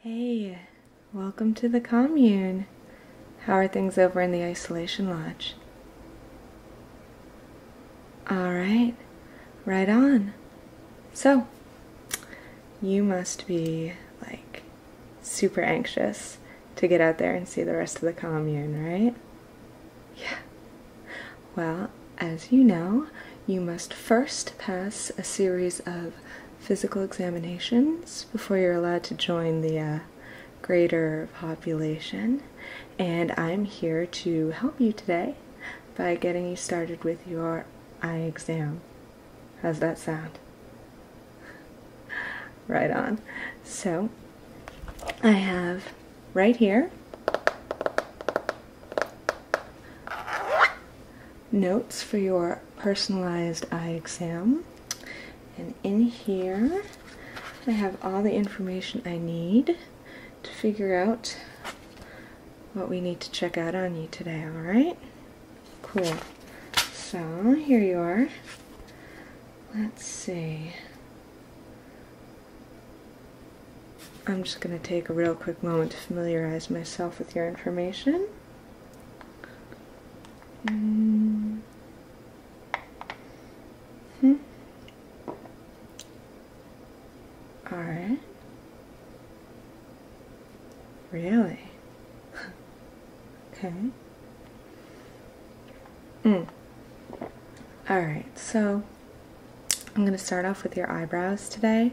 Hey, welcome to the commune. How are things over in the isolation lodge? All right, right on. So, you must be like super anxious to get out there and see the rest of the commune, right? Yeah. Well, as you know, you must first pass a series of physical examinations before you're allowed to join the uh, greater population. And I'm here to help you today by getting you started with your eye exam. How's that sound? right on. So, I have right here notes for your personalized eye exam. And in here, I have all the information I need to figure out what we need to check out on you today, alright? Cool. So, here you are. Let's see. I'm just going to take a real quick moment to familiarize myself with your information. Mm Really? okay. Mm. All right. So I'm going to start off with your eyebrows today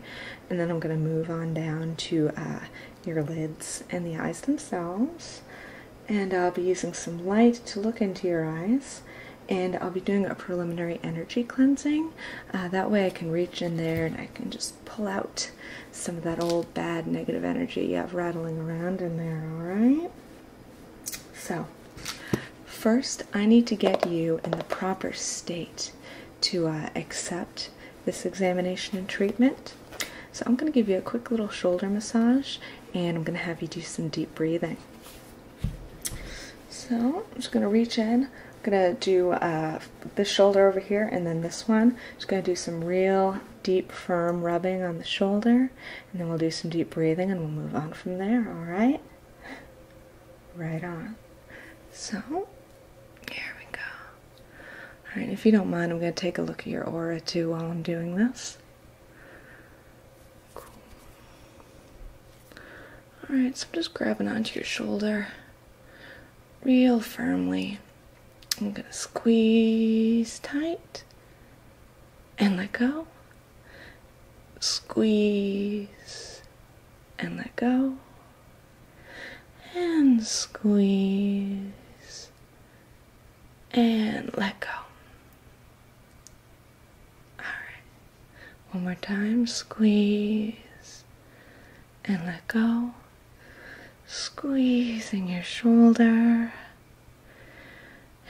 and then I'm going to move on down to uh, your lids and the eyes themselves. And I'll be using some light to look into your eyes. And I'll be doing a preliminary energy cleansing. Uh, that way I can reach in there and I can just pull out some of that old bad negative energy you have rattling around in there, alright? So, first I need to get you in the proper state to uh, accept this examination and treatment. So, I'm going to give you a quick little shoulder massage and I'm going to have you do some deep breathing. So, I'm just going to reach in. I'm going to do uh, this shoulder over here and then this one. Just going to do some real deep, firm rubbing on the shoulder, and then we'll do some deep breathing and we'll move on from there, all right? Right on. So, here we go. All right, if you don't mind, I'm going to take a look at your aura too while I'm doing this. Cool. All right, so I'm just grabbing onto your shoulder real firmly. I'm going to squeeze tight and let go. Squeeze and let go and squeeze and let go. All right, one more time squeeze and let go, squeezing your shoulder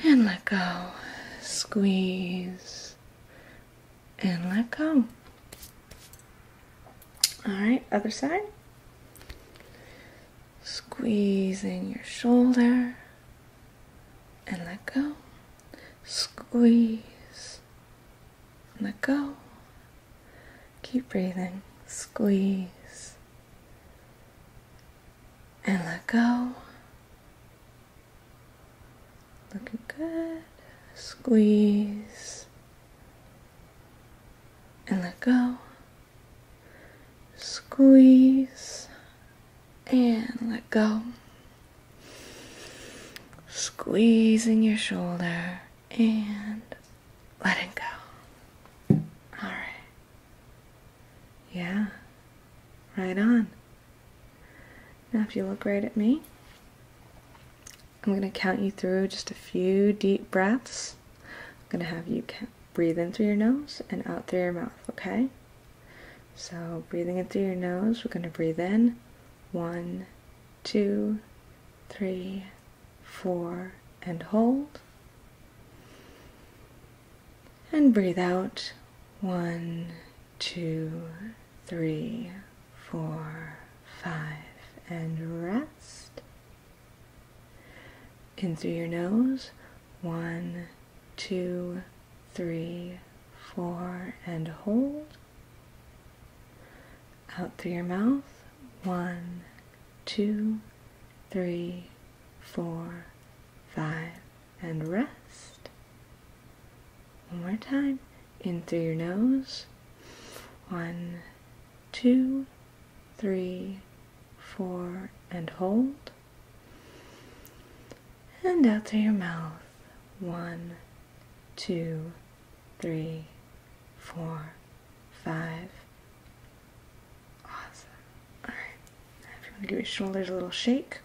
and let go, squeeze and let go. All right, other side. Squeeze in your shoulder and let go. Squeeze, let go. Keep breathing. Squeeze and let go. Looking good. Squeeze and let go. Squeeze and let go. Squeezing your shoulder and letting go. All right. Yeah. Right on. Now, if you look right at me, I'm going to count you through just a few deep breaths. I'm going to have you breathe in through your nose and out through your mouth, okay? So, breathing in through your nose, we're going to breathe in one, two, three, four, and hold. And breathe out one, two, three, four, five, and rest. In through your nose, one, two, three, four, and hold. Out through your mouth, one, two, three, four, five, and rest. One more time. In through your nose, one, two, three, four, and hold. And out through your mouth. One, two, three, four, five. Awesome. Alright. if you want to give your shoulders a little shake.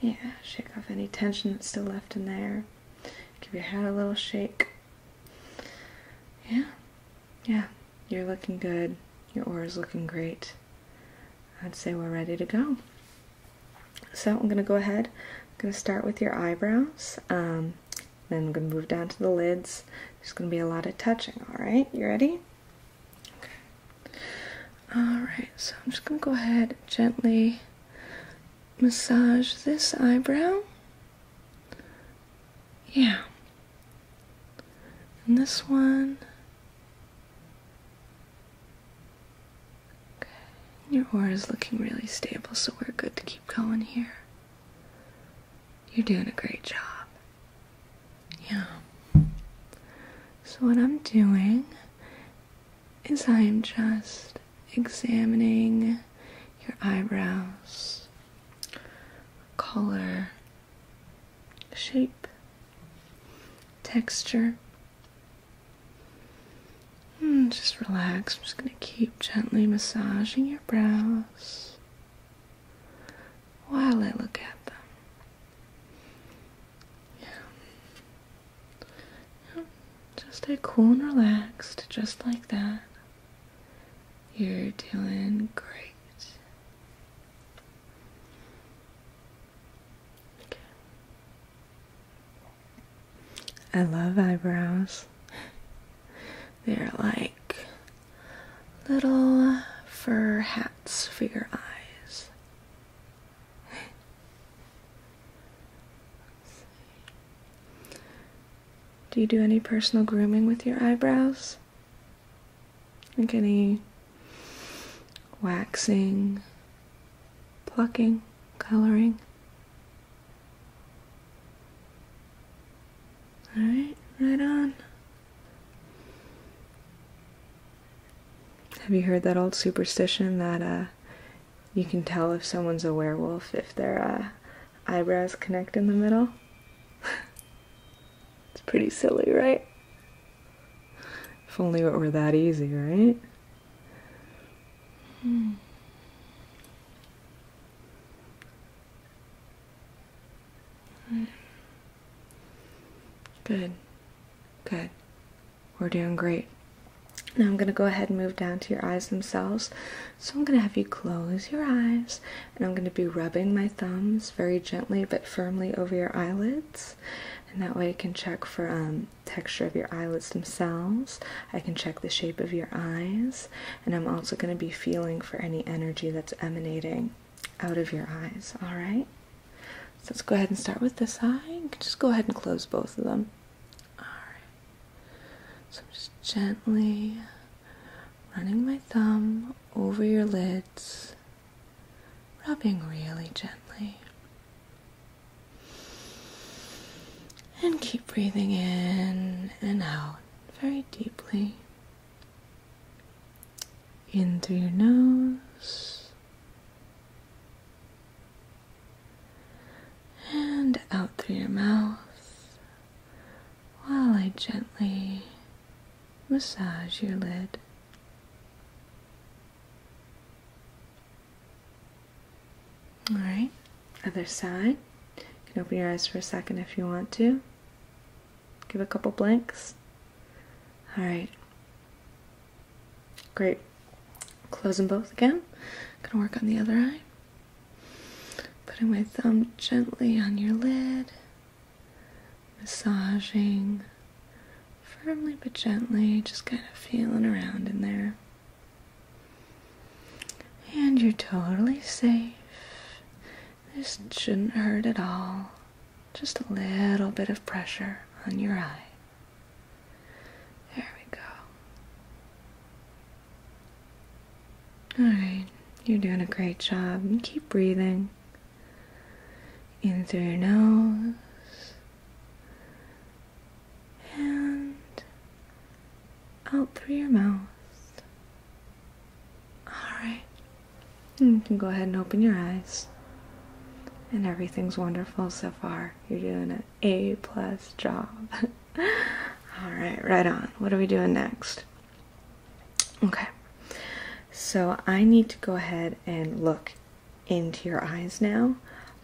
Yeah, shake off any tension that's still left in there. Give your head a little shake. Yeah, yeah, you're looking good. Your aura's looking great. I'd say we're ready to go. So I'm gonna go ahead. I'm gonna start with your eyebrows. Um, then I'm gonna move down to the lids. There's gonna be a lot of touching. All right, you ready? Okay. All right. So I'm just gonna go ahead gently massage this eyebrow. Yeah. And this one. Okay. Your aura is looking really stable, so we're good to keep going here. You're doing a great job. Yeah. So, what I'm doing is I am just examining your eyebrows, color, shape, texture. Hmm, just relax. I'm just going to keep gently massaging your brows while I look at them. yeah. Just stay cool and relaxed, just like that. You're doing great. I love eyebrows. They're like little fur hats for your eyes. Do you do any personal grooming with your eyebrows? Like any waxing, plucking, coloring? Alright, right on. Have you heard that old superstition that uh, you can tell if someone's a werewolf if their uh, eyebrows connect in the middle. it's pretty silly, right? If only it were that easy, right? Hmm. Good. Good. We're doing great. Now I'm going to go ahead and move down to your eyes themselves. So I'm going to have you close your eyes and I'm going to be rubbing my thumbs very gently but firmly over your eyelids. And that way I can check for um, texture of your eyelids themselves. I can check the shape of your eyes. And I'm also going to be feeling for any energy that's emanating out of your eyes. All right. So let's go ahead and start with this eye. just go ahead and close both of them. All right. So I'm just gently running my thumb over your lids, rubbing really gently. And keep breathing in and out very deeply. In through your nose and out through your mouth while I gently massage your lid. All right, other side. You can open your eyes for a second if you want to. Give a couple blinks. All right. Great. Close them both again. Gonna work on the other eye. Putting my thumb gently on your lid, massaging firmly but gently, just kind of feeling around in there. And you're totally safe. This shouldn't hurt at all. Just a little bit of pressure on your eye. There we go. Alright, you're doing a great job. Keep breathing in through your nose and out through your mouth. Alright, you can go ahead and open your eyes. And everything's wonderful so far. You're doing an A plus job. All right, right on. What are we doing next? Okay. So I need to go ahead and look into your eyes now,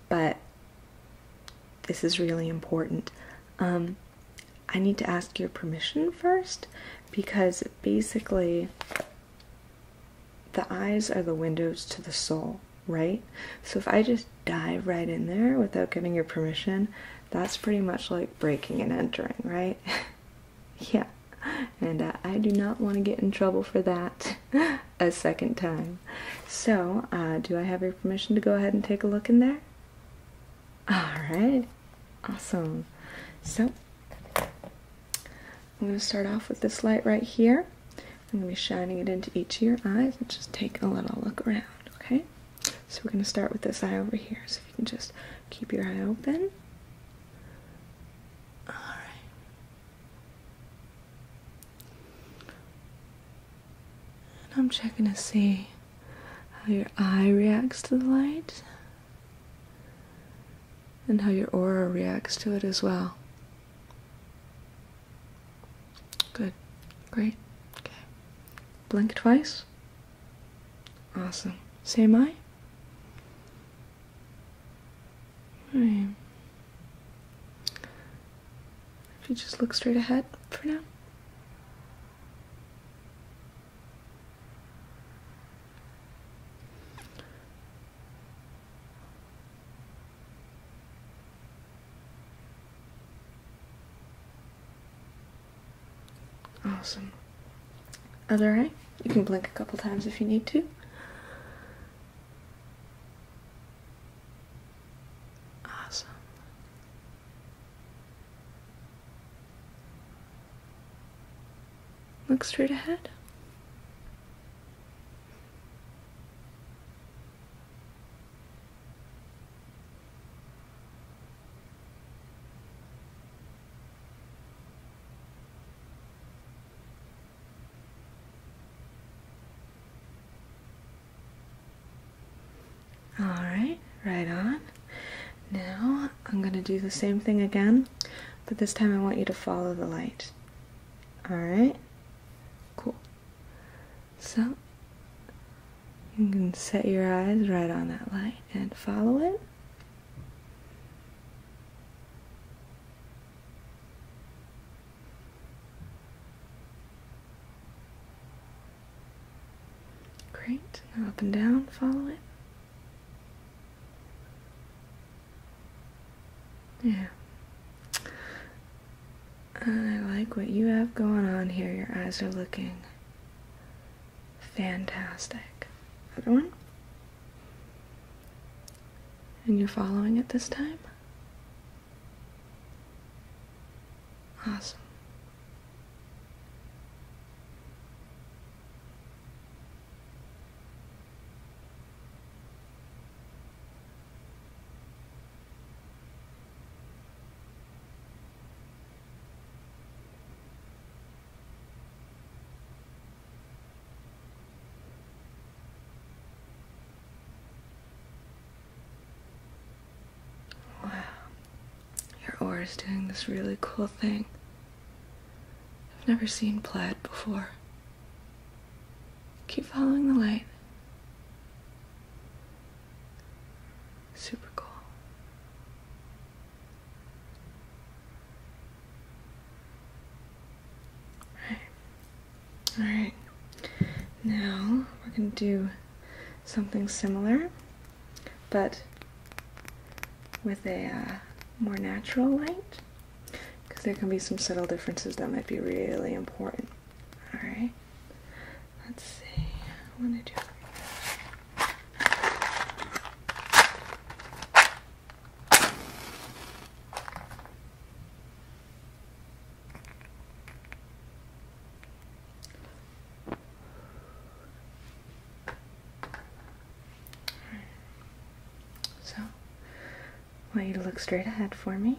but this is really important. Um, I need to ask your permission first because basically the eyes are the windows to the soul, right? So if I just dive right in there without getting your permission, that's pretty much like breaking and entering, right? yeah, and uh, I do not want to get in trouble for that a second time. So, uh, do I have your permission to go ahead and take a look in there? Alright, awesome. So, I'm going to start off with this light right here. I'm going to be shining it into each of your eyes and just take a little look around, okay? So we're going to start with this eye over here. So if you can just keep your eye open. All right. And I'm checking to see how your eye reacts to the light and how your aura reacts to it as well. Good. Great. Okay. Blink twice. Awesome. So am I? Alright. If you just look straight ahead for now. Awesome. That's alright. You can blink a couple times if you need to. Awesome. Look straight ahead. All right, right on. Now I'm going to do the same thing again, but this time I want you to follow the light. All right, cool. So you can set your eyes right on that light and follow it. Great. Now up and down, follow it. Yeah. I like what you have going on here. Your eyes are looking Fantastic. Other one. And you're following it this time? Awesome. Wow, your aura is doing this really cool thing. I've never seen plaid before. Keep following the light. Super cool. Alright. Alright. Now we're going to do something similar, but with a uh, more natural light because there can be some subtle differences that might be really important. Alright? Let's see. I want to do. So, want you to look straight ahead for me.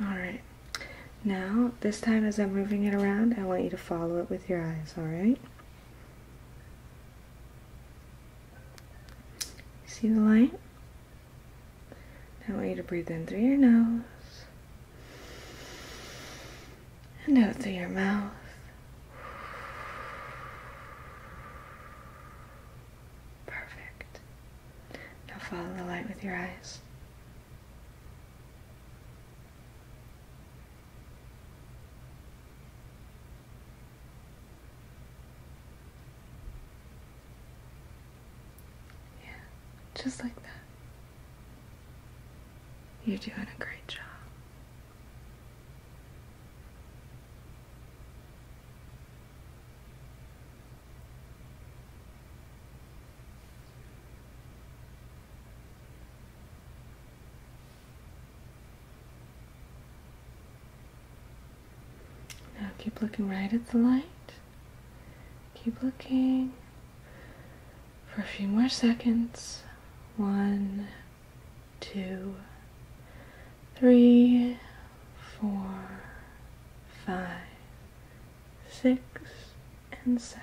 Alright, now this time as I'm moving it around, I want you to follow it with your eyes, alright? See the light? I want you to breathe in through your nose and out through your mouth. Perfect. Now follow the light with your eyes. Yeah, just like that. You're doing a great job. Now keep looking right at the light. Keep looking for a few more seconds. One, two, three, four, five, six, and seven.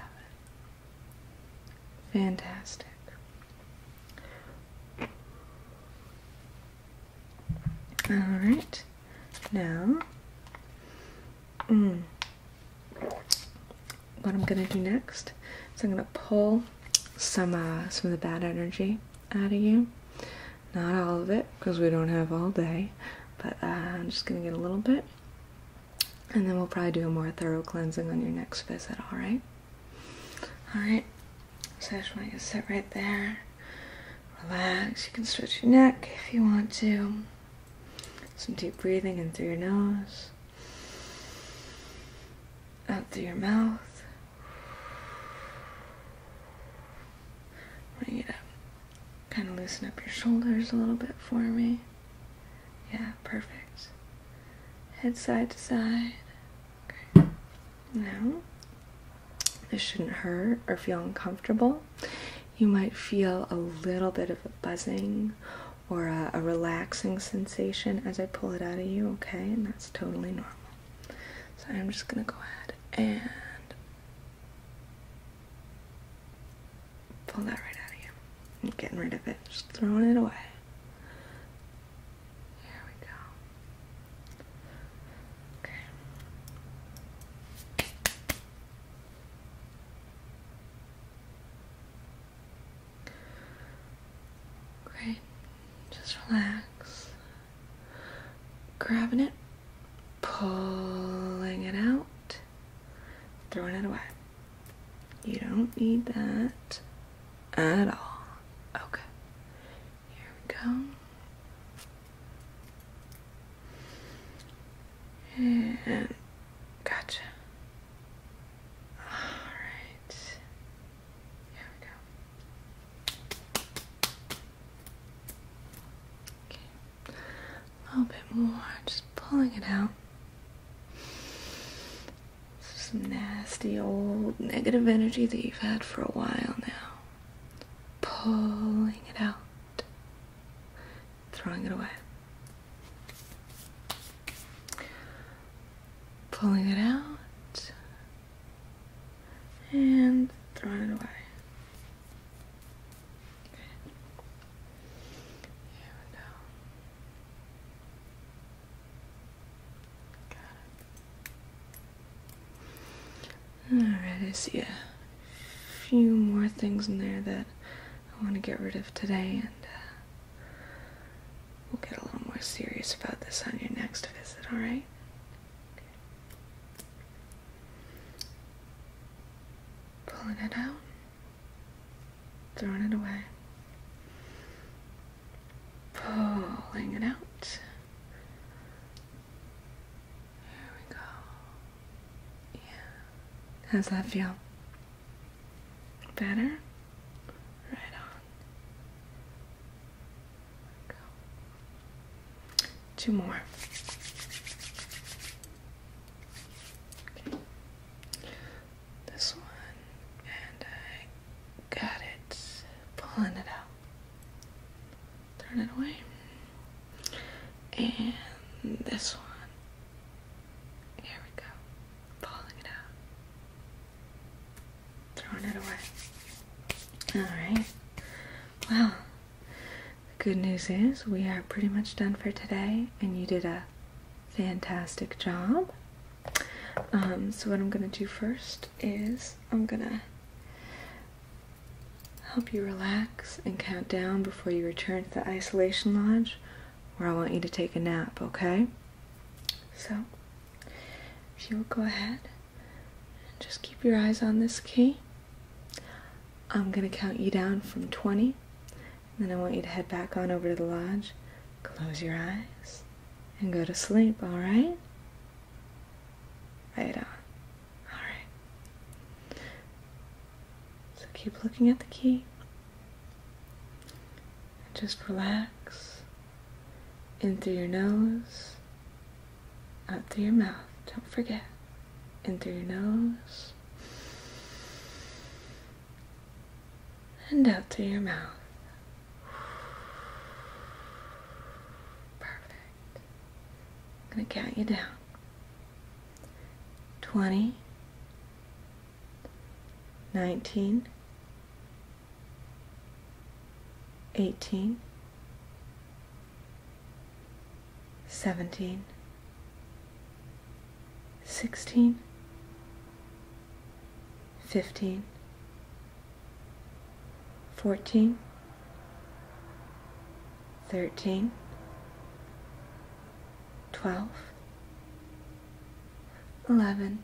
Fantastic. All right, now, mm, what I'm gonna do next is I'm gonna pull some uh, some of the bad energy out of you. Not all of it, because we don't have all day, but uh, I'm just gonna get a little bit, and then we'll probably do a more thorough cleansing on your next visit. All right. All right. So I just want you to sit right there, relax. You can stretch your neck if you want to. Some deep breathing in through your nose, out through your mouth. I want you to kind of loosen up your shoulders a little bit for me. Yeah, perfect. Head side to side. Okay. Now, this shouldn't hurt or feel uncomfortable. You might feel a little bit of a buzzing or a relaxing sensation as I pull it out of you, okay? And that's totally normal. So I'm just gonna go ahead and pull that right out of you. getting rid of it, just throwing it away. There we go. Okay. Great. Just relax. Grabbing it, pulling it out, throwing it away. You don't need that at all. Okay. Here we go. And gotcha. All right. Here we go. Okay. A little bit more, just pulling it out. This is Some nasty old negative energy that you've had for a while now. Pulling it out. Throwing it away. Pulling it out and thrown it away. Okay. Here we go. Got it. Alright, I see a few more things in there that I want to get rid of today and uh, We'll get a little more serious about this on your next visit, alright? Okay. Pulling it out, throwing it away, pulling it out. There we go. Yeah. How's that feel? Better? Right on. Two more. This one, and I got it. Pulling it out. Turn it away. And this one. Here we go. Pulling it out throwing it away. Alright. Well, the good news is we are pretty much done for today, and you did a fantastic job. Um, so, what I'm going to do first is I'm going to help you relax and count down before you return to the isolation lodge where I want you to take a nap, okay? So, if you will go ahead and just keep your eyes on this key, I'm going to count you down from 20. And then I want you to head back on over to the lodge, close your eyes, and go to sleep, all right? Right on. All right. So keep looking at the key. And just relax in through your nose, out through your mouth. Don't forget. In through your nose, and out through your mouth. Perfect. I'm going to count you down. 20, 19, Eighteen. Seventeen. Sixteen. Fifteen. Fourteen. Thirteen. Twelve. Eleven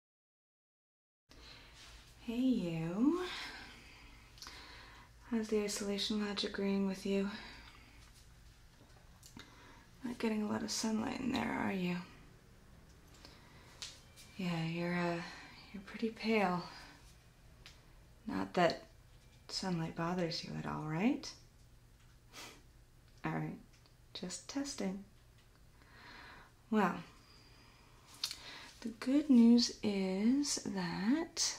Hey you. How's the isolation lodge agreeing with you? Not getting a lot of sunlight in there, are you? Yeah, you're uh you're pretty pale. Not that sunlight bothers you at all, right? all right. Just testing. Well, the good news is that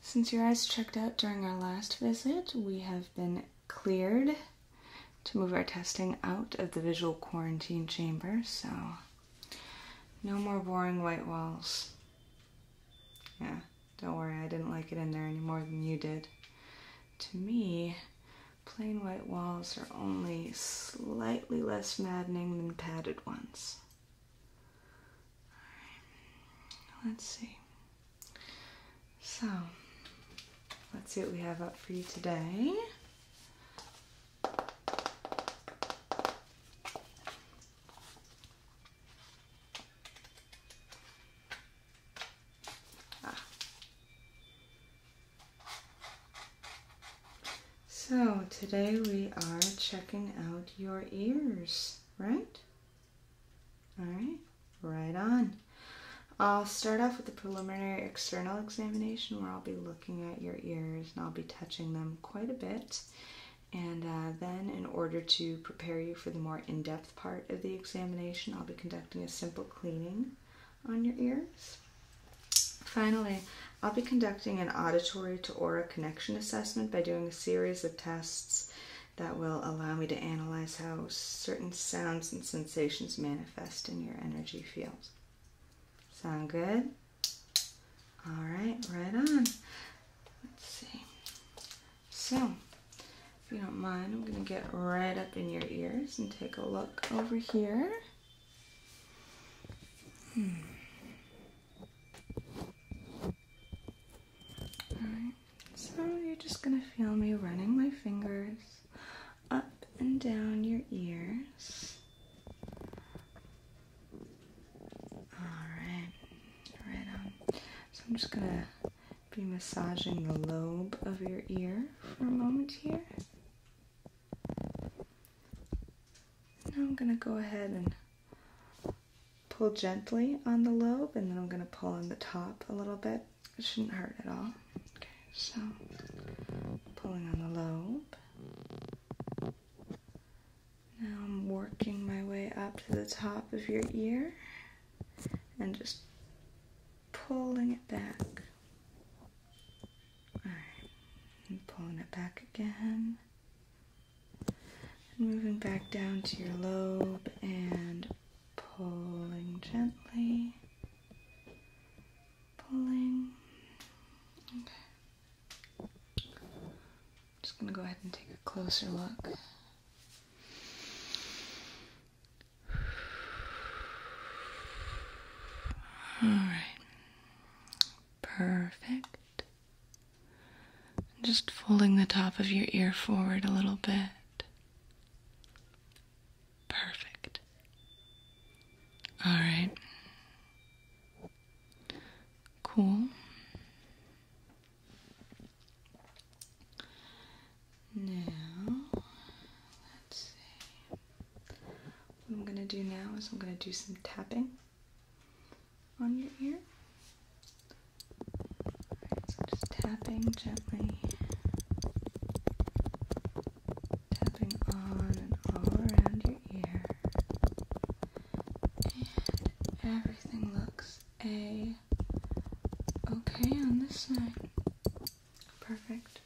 since your eyes checked out during our last visit, we have been cleared to move our testing out of the visual quarantine chamber, so no more boring white walls. Yeah, don't worry, I didn't like it in there any more than you did. To me, Plain white walls are only slightly less maddening than padded ones. right. Let's see. So, let's see what we have up for you today. Ah. So today we are checking out your ears, right? All right, right on. I'll start off with the preliminary external examination where I'll be looking at your ears and I'll be touching them quite a bit. And uh, then, in order to prepare you for the more in depth part of the examination, I'll be conducting a simple cleaning on your ears. Finally, I'll be conducting an auditory to aura connection assessment by doing a series of tests that will allow me to analyze how certain sounds and sensations manifest in your energy field. Sound good? All right, right on. Let's see. So, if you don't mind, I'm going to get right up in your ears and take a look over here. Hmm. Alright, so you're just gonna feel me running my fingers up and down your ears. Alright, right on. So I'm just gonna be massaging the lobe of your ear for a moment here. Now I'm going to go ahead and pull gently on the lobe and then I'm going to pull on the top a little bit. It shouldn't hurt at all. Okay, so pulling on the lobe. Now I'm working my way up to the top of your ear and just pulling it back. Alright, and pulling it back again. And moving back down to your lobe and pulling gently. Pulling. Okay. just going to go ahead and take a closer look. All right. Perfect. Just folding the top of your ear forward a little bit. Perfect. All right. Cool. Now, let's see. What I'm going to do now is I'm going to do some tapping on your ear. so just tapping gently. Tapping on and all around your ear. And everything looks a okay on this side. Perfect.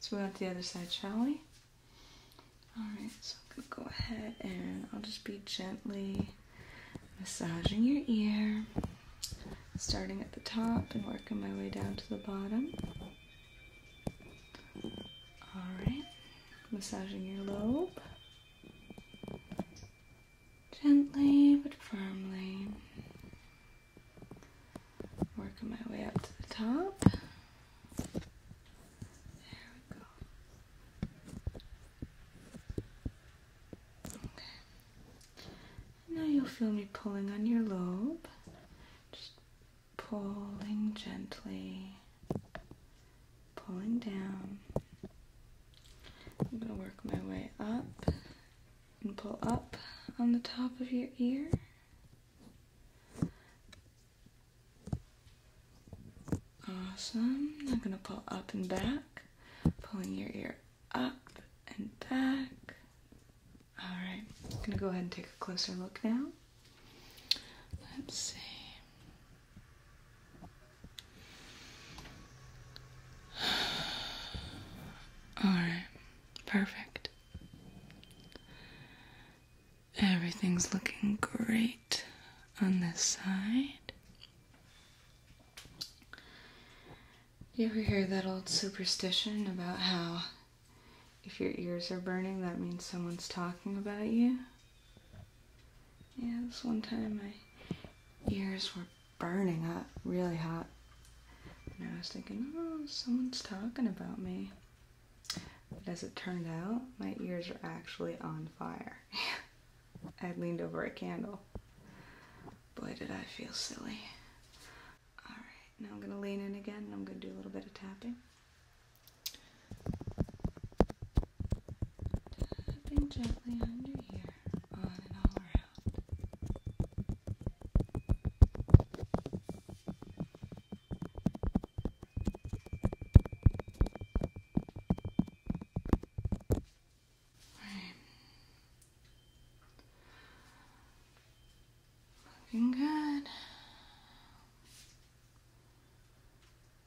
So we move on to the other side, shall we? Alright, so I'm gonna go ahead and I'll just be gently massaging your ear, starting at the top and working my way down to the bottom. Alright, massaging your lobe. Gently but firmly. Working my way up to the top. There we go. Okay. Now you'll feel me pulling on your lobe. Just pulling gently. Pulling down. I'm going to work my way up and pull up on the top of your ear. Awesome. I'm gonna pull up and back, pulling your ear up and back. All right, I'm gonna go ahead and take a closer look now. Let's see. All right, perfect. Everything's looking great on this side. You ever hear that old superstition about how if your ears are burning, that means someone's talking about you? Yeah, this one time my ears were burning up really hot. And I was thinking, oh, someone's talking about me. But as it turned out, my ears are actually on fire. I leaned over a candle. Boy, did I feel silly. Alright, now I'm gonna lean in again I'm gonna do a little bit of tapping. Tapping gently under here, on and around. Looking good.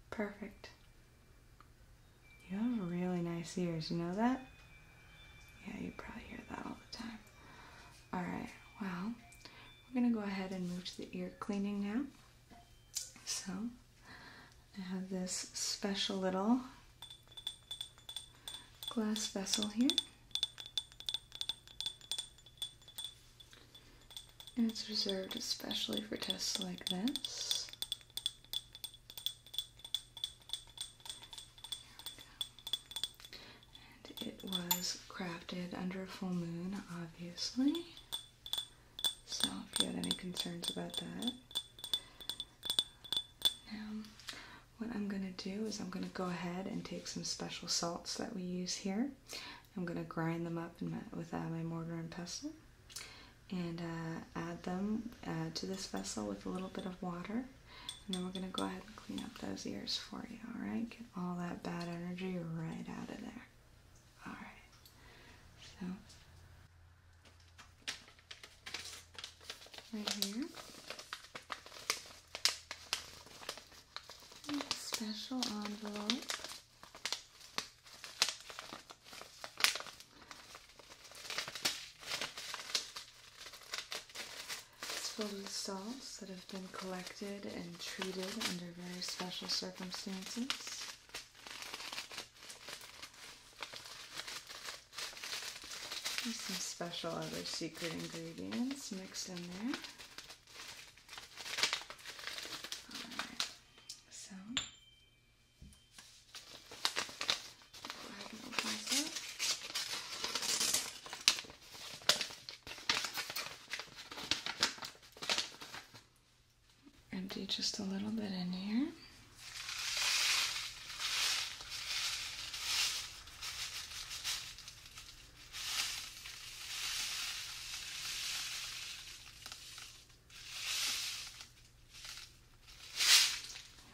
Perfect. You have really nice ears, you know that? Yeah, you probably hear that all the time. Alright, well, we're going to go ahead and move to the ear cleaning now. So, I have this special little glass vessel here. And it's reserved especially for tests like this. And it was crafted under a full moon, obviously. So if you had any concerns about that. Now, what I'm going to do is I'm going to go ahead and take some special salts that we use here. I'm going to grind them up with uh, my mortar and pestle and uh, add them uh, to this vessel with a little bit of water. And then we're going to go ahead clean up those ears for you, alright? Get all that bad energy right out of there. Alright. So right here. Special envelope. It's filled with salts that have been collected and treated under very special circumstances. There's some special other secret ingredients mixed in there. Alright, so Empty just a little bit in here.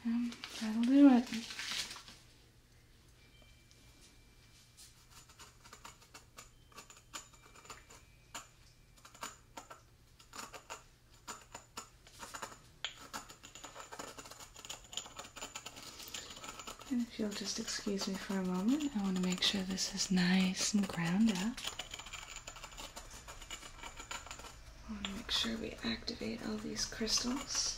Um, that'll do it if you'll just excuse me for a moment, I want to make sure this is nice and ground up. I want to make sure we activate all these crystals.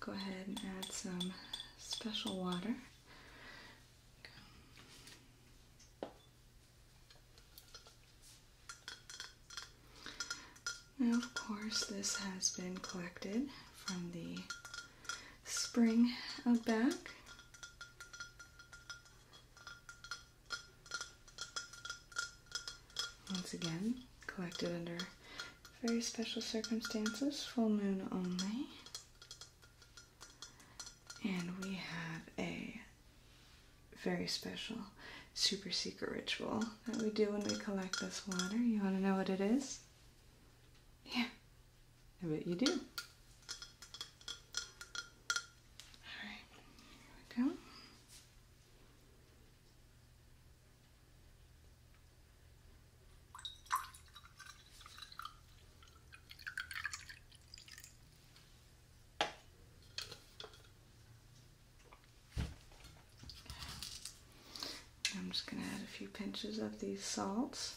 Go ahead and add some special water. Now, of course, this has been collected from the spring out back. Once again, collected under very special circumstances, full moon only. And we have a very special super secret ritual that we do when we collect this water. You want to know what it is? Yeah, I bet you do. Alright, here we go. I'm just going to add a few pinches of these salts.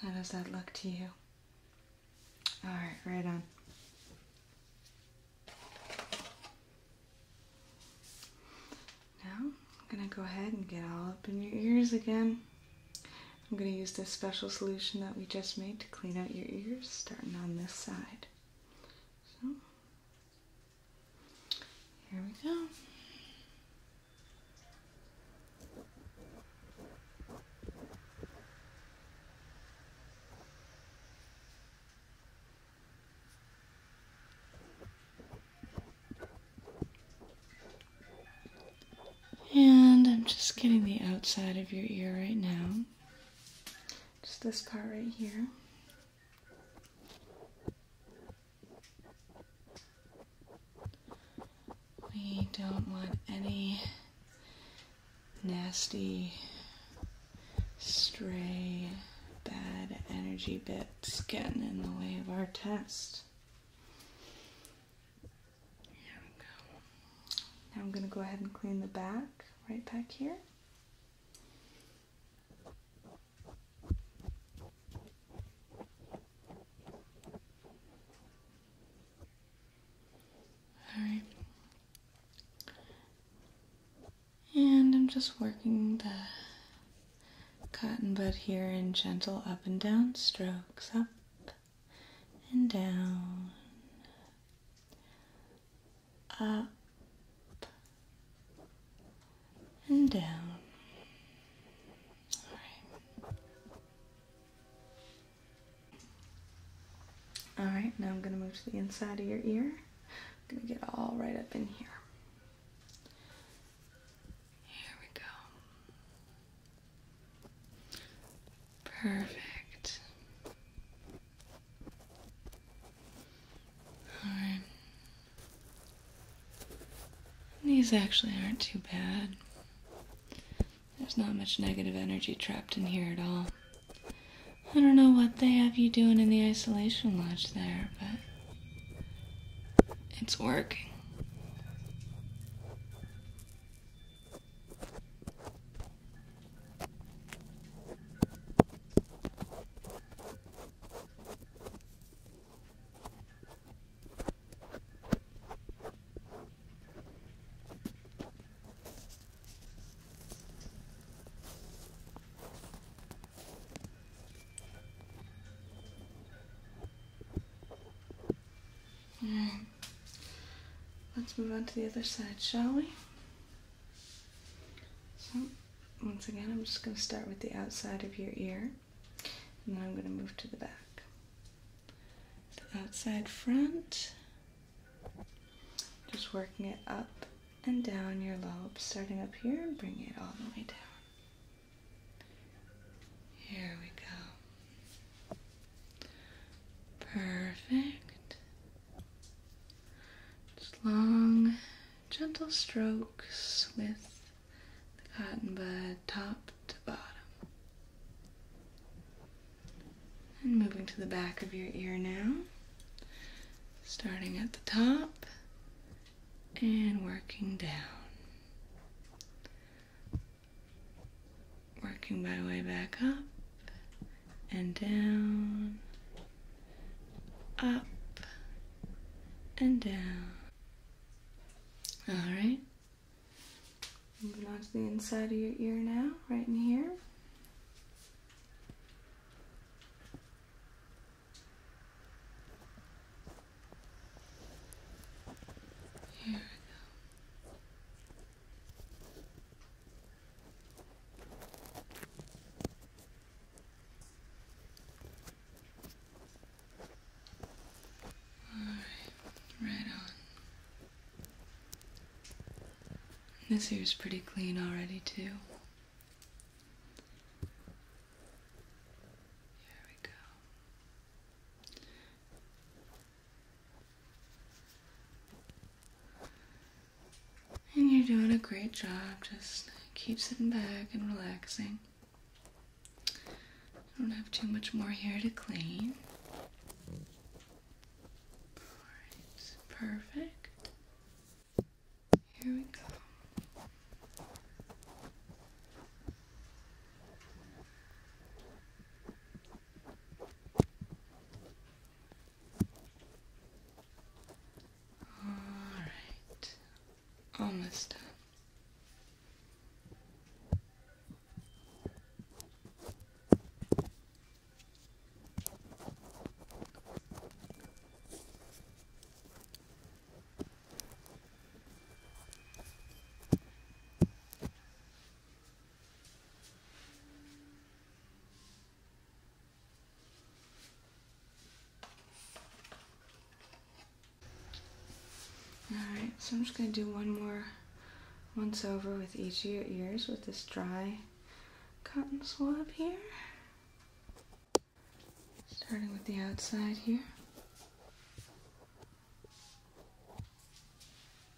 How does that look to you? All right, right on. Now, I'm going to go ahead and get all up in your ears again. I'm going to use this special solution that we just made to clean out your ears, starting on this side. So, here we go. And I'm just getting the outside of your ear right now. Just this part right here. We don't want any nasty, stray, bad energy bits getting in the way of our test. Here we go. Now I'm going to go ahead and clean the back right back here. All right. And I'm just working the cotton bud here in gentle up and down strokes, up and down, up and down. All right. All right, now I'm going to move to the inside of your ear. I'm going to get all right up in here. Here we go. Perfect. Alright. These actually aren't too bad. There's not much negative energy trapped in here at all. I don't know what they have you doing in the isolation lodge there, but it's working. Alright, let's move on to the other side, shall we? So, once again, I'm just going to start with the outside of your ear and then I'm going to move to the back. The outside front, just working it up and down your lobe, starting up here and bringing it all the way down. Here we go. Perfect. Just long, gentle strokes with the cotton bud top to bottom. And moving to the back of your ear now, starting at the top and working down. Working my way back up and down, up and down. Alright. Moving on to the inside of your ear now, right in here. Here we go right on. This here is pretty clean already, too. There we go. And you're doing a great job. Just keep sitting back and relaxing. I don't have too much more hair to clean. Alright, perfect. Here we go. All right, almost done. Alright, so I'm just going to do one more once over with each of your ears with this dry cotton swab here. Starting with the outside here.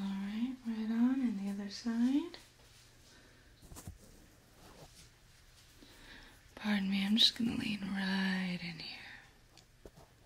All right, right on, and the other side. Pardon me, I'm just going to lean right in here.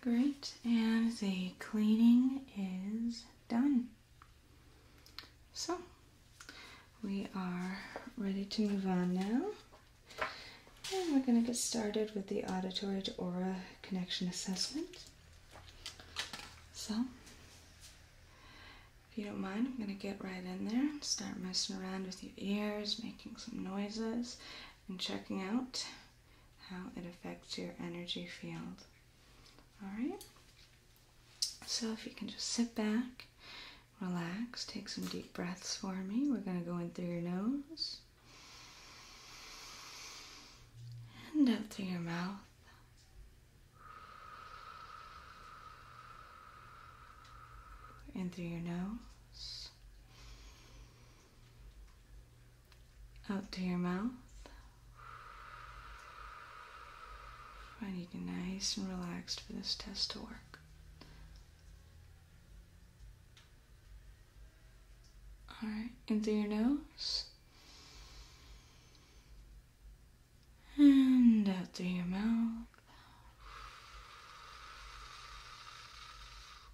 Great, and the cleaning is done. So, we are ready to move on now. And we're going to get started with the auditory to aura connection assessment. So, if you don't mind, I'm going to get right in there start messing around with your ears, making some noises, and checking out how it affects your energy field. Alright? So, if you can just sit back, relax, take some deep breaths for me. We're going to go in through your nose and out through your mouth. In through your nose, out through your mouth. Find you get nice and relaxed for this test to work. All right, in through your nose and out through your mouth.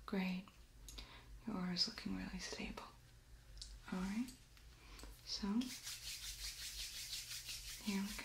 Great. Your aura is looking really stable. Alright, so here we go.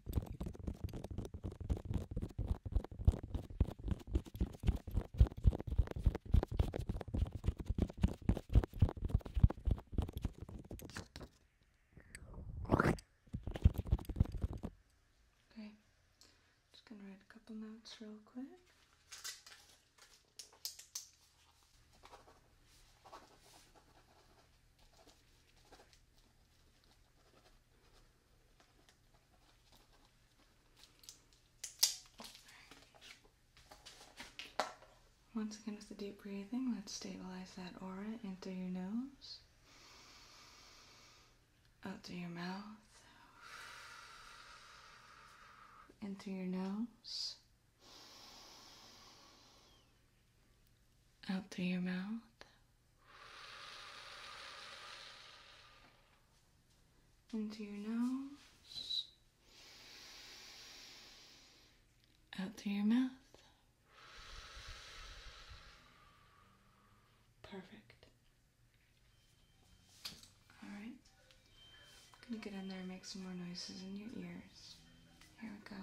Okay, just gonna write a couple notes real quick. Once again with the deep breathing, let's stabilize that aura in through your nose, out through your mouth, in through your nose, out through your mouth, into your nose, out through your mouth. Perfect. Alright. I'm gonna get in there and make some more noises in your ears. Here we go.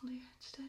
Hold your head steady.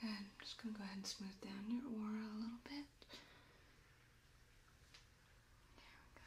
Good. I'm just going to go ahead and smooth down your aura a little bit. There we go.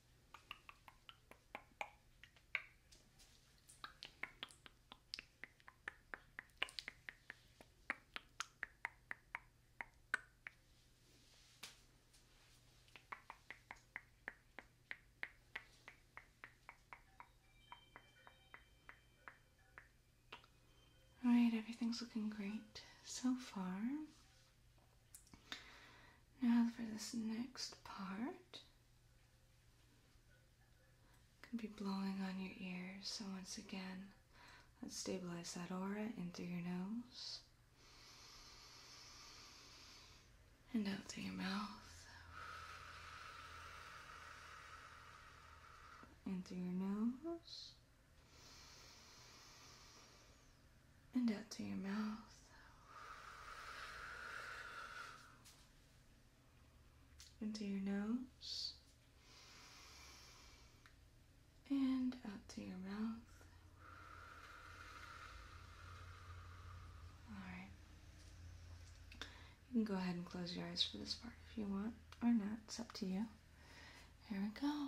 Alright, everything's looking great so far. Now for this next part, I'm going to be blowing on your ears. So once again, let's stabilize that aura into your nose and out through your mouth. In through your nose and out to your mouth. Into your nose and out to your mouth. Alright. You can go ahead and close your eyes for this part if you want, or not. It's up to you. Here we go.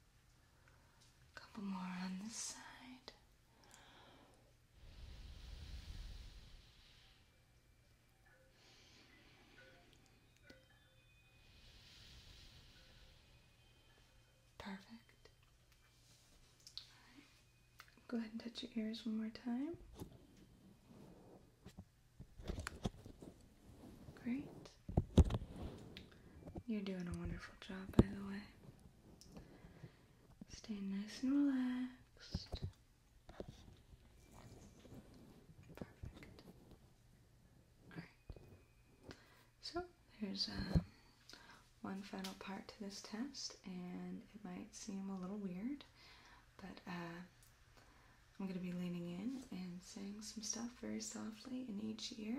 A couple more on this side. Perfect. Go ahead and touch your ears one more time. Great. You're doing a wonderful job, by the way. Stay nice and relaxed. Perfect. Alright. So, there's um, one final part to this test, and it might seem a little weird, but uh, I'm going to be leaning in and saying some stuff very softly in each ear.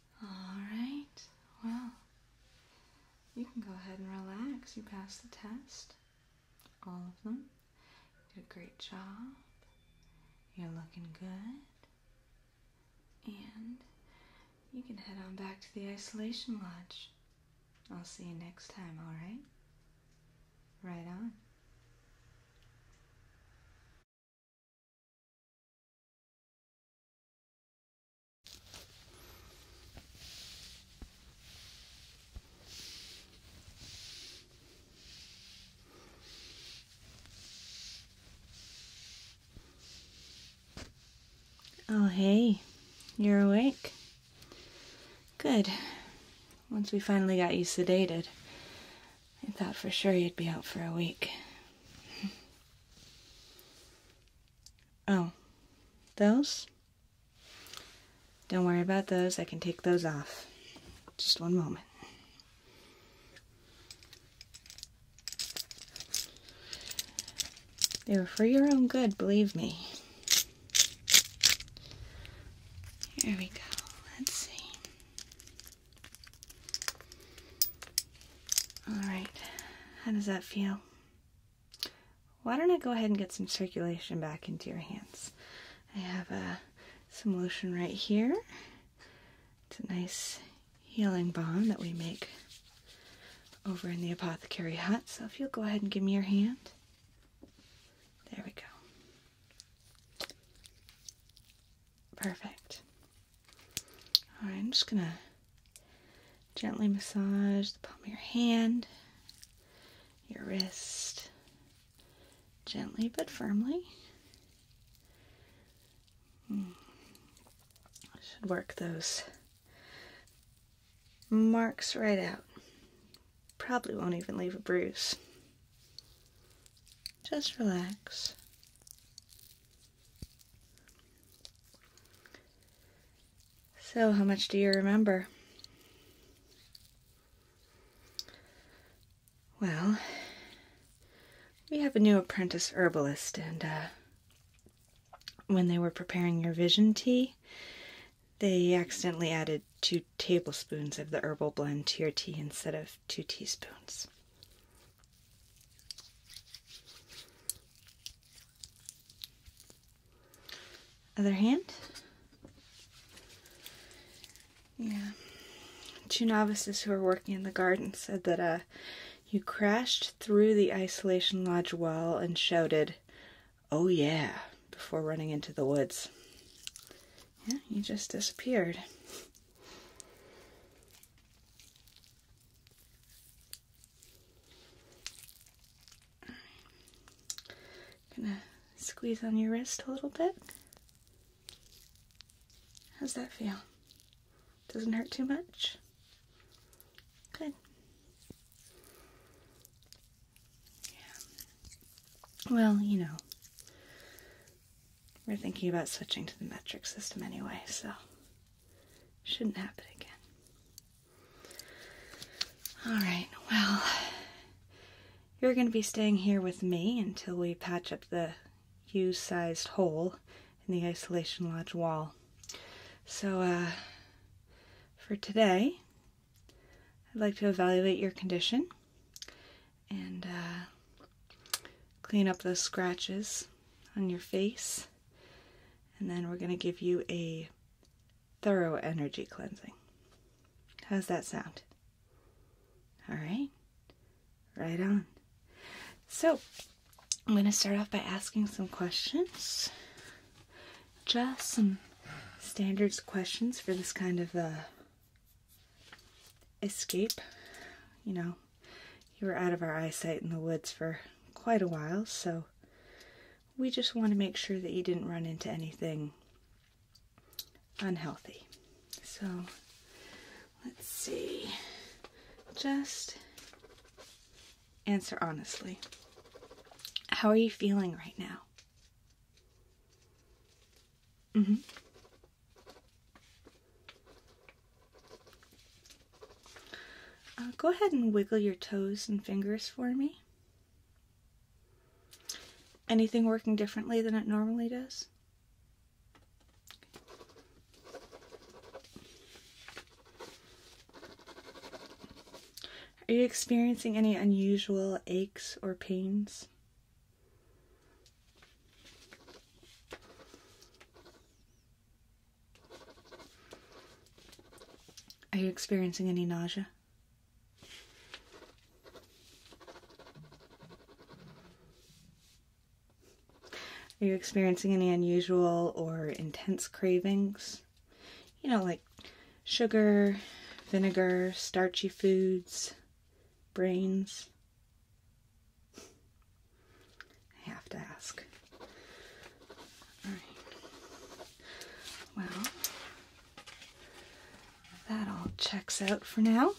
Alright, well, you can go ahead and relax. You passed the test, all of them. did a great job. You're looking good. And you can head on back to the isolation lodge. I'll see you next time, alright? Right on. Oh, hey, you're awake? Good. Once we finally got you sedated, I thought for sure you'd be out for a week. Oh, those? Don't worry about those. I can take those off. Just one moment. They were for your own good, believe me. Here we go. Let's see. All right. How does that feel? Why don't I go ahead and get some circulation back into your hands? I have uh, some lotion right here. It's a nice healing balm that we make over in the apothecary hut. So if you'll go ahead and give me your hand. There we go. Perfect. Alright, I'm just gonna Gently massage the palm of your hand, your wrist, gently but firmly. Hmm. Should work those marks right out. Probably won't even leave a bruise. Just relax. So, how much do you remember? Well, we have a new apprentice herbalist, and uh, when they were preparing your vision tea, they accidentally added two tablespoons of the herbal blend to your tea instead of two teaspoons. Other hand. Yeah. Two novices who were working in the garden said that uh, you crashed through the isolation lodge wall and shouted, Oh yeah, before running into the woods. Yeah, you just disappeared gonna squeeze on your wrist a little bit. How's that feel? Doesn't hurt too much? Good. Yeah. Well, you know, we're thinking about switching to the metric system anyway, so shouldn't happen again. All right, well, you're going to be staying here with me until we patch up the U sized hole in the isolation lodge wall. So, uh, for today, I'd like to evaluate your condition and uh, clean up those scratches on your face and then we're going to give you a thorough energy cleansing. How's that sound? All right. Right on. So, I'm going to start off by asking some questions. Just some standards questions for this kind of uh, escape. You know, you were out of our eyesight in the woods for quite a while, so we just want to make sure that you didn't run into anything unhealthy. So let's see. Just answer honestly. How are you feeling right now? Mhm. Mm uh, go ahead and wiggle your toes and fingers for me. Anything working differently than it normally does? Are you experiencing any unusual aches or pains? Are you experiencing any nausea? Are you experiencing any unusual or intense cravings? You know, like sugar, vinegar, starchy foods, brains. I have to ask. Well, that all checks out for now.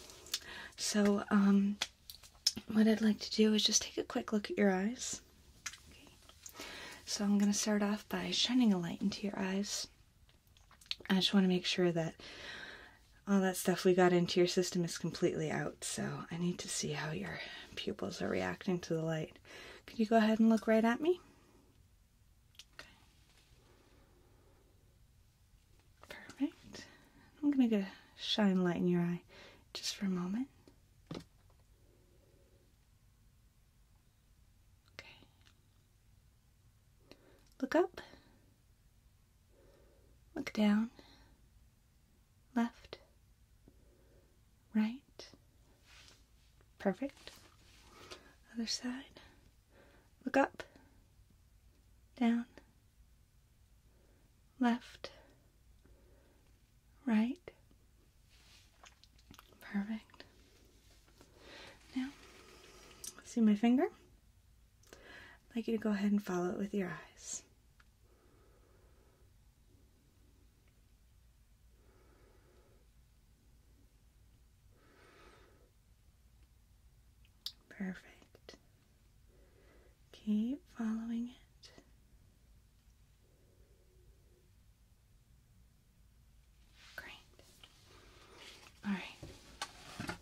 So, um, what I'd like to do is just take a quick look at your eyes. So, I'm going to start off by shining a light into your eyes. I just want to make sure that all that stuff we got into your system is completely out, so I need to see how your pupils are reacting to the light. Could you go ahead and look right at me? Okay. Perfect. I'm going to get a shine light in your eye just for a moment. Okay. Look up. Look down. Left right. Perfect. Other side. Look up, down, left, right. Perfect. Now, see my finger? I'd like you to go ahead and follow it with your eyes. Perfect. Keep following it. Great. All right.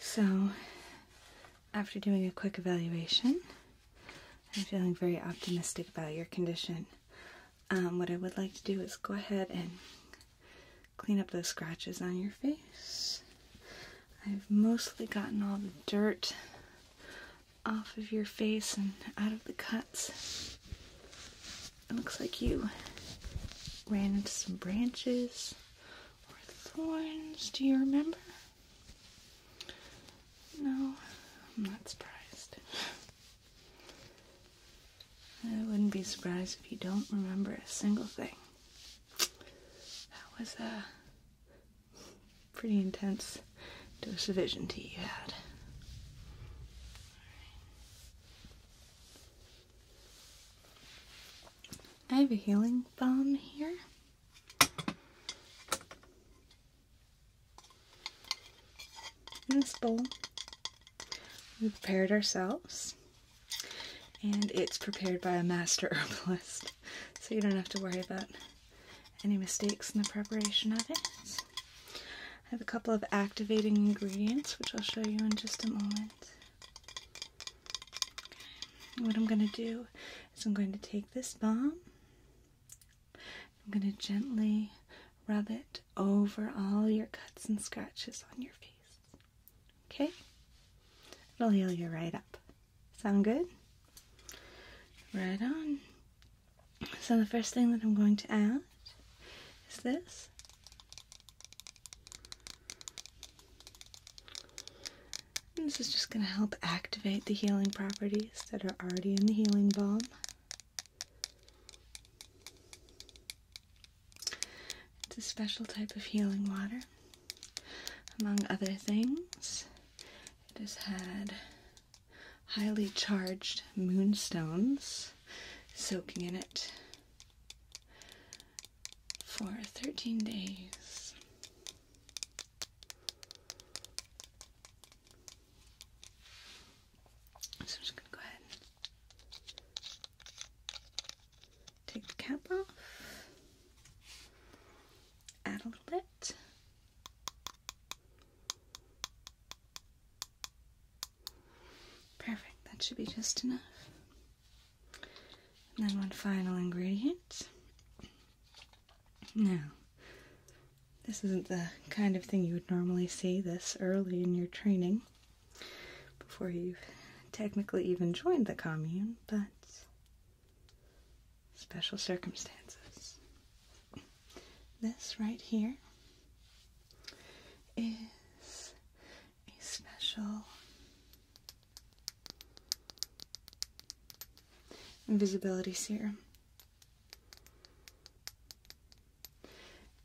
So, after doing a quick evaluation, I'm feeling very optimistic about your condition. Um, what I would like to do is go ahead and clean up those scratches on your face. I've mostly gotten all the dirt off of your face and out of the cuts looks like you ran into some branches or thorns. Do you remember? No, I'm not surprised. I wouldn't be surprised if you don't remember a single thing. That was a pretty intense dose of vision tea you had. I have a healing balm here. In this bowl, we prepared ourselves, and it's prepared by a master herbalist, so you don't have to worry about any mistakes in the preparation of it. I have a couple of activating ingredients, which I'll show you in just a moment. What I'm going to do is I'm going to take this balm, I'm going to gently rub it over all your cuts and scratches on your face. Okay? It'll heal you right up. Sound good? Right on. So, the first thing that I'm going to add is this. this is just going to help activate the healing properties that are already in the healing balm. It's a special type of healing water. Among other things, it has had highly charged moonstones soaking in it for 13 days. So I'm just going to go ahead and take the cap off, add a little bit. Perfect, that should be just enough. And then one final ingredient. Now, this isn't the kind of thing you would normally see this early in your training before you've technically even joined the commune, but special circumstances. This right here is a special invisibility serum.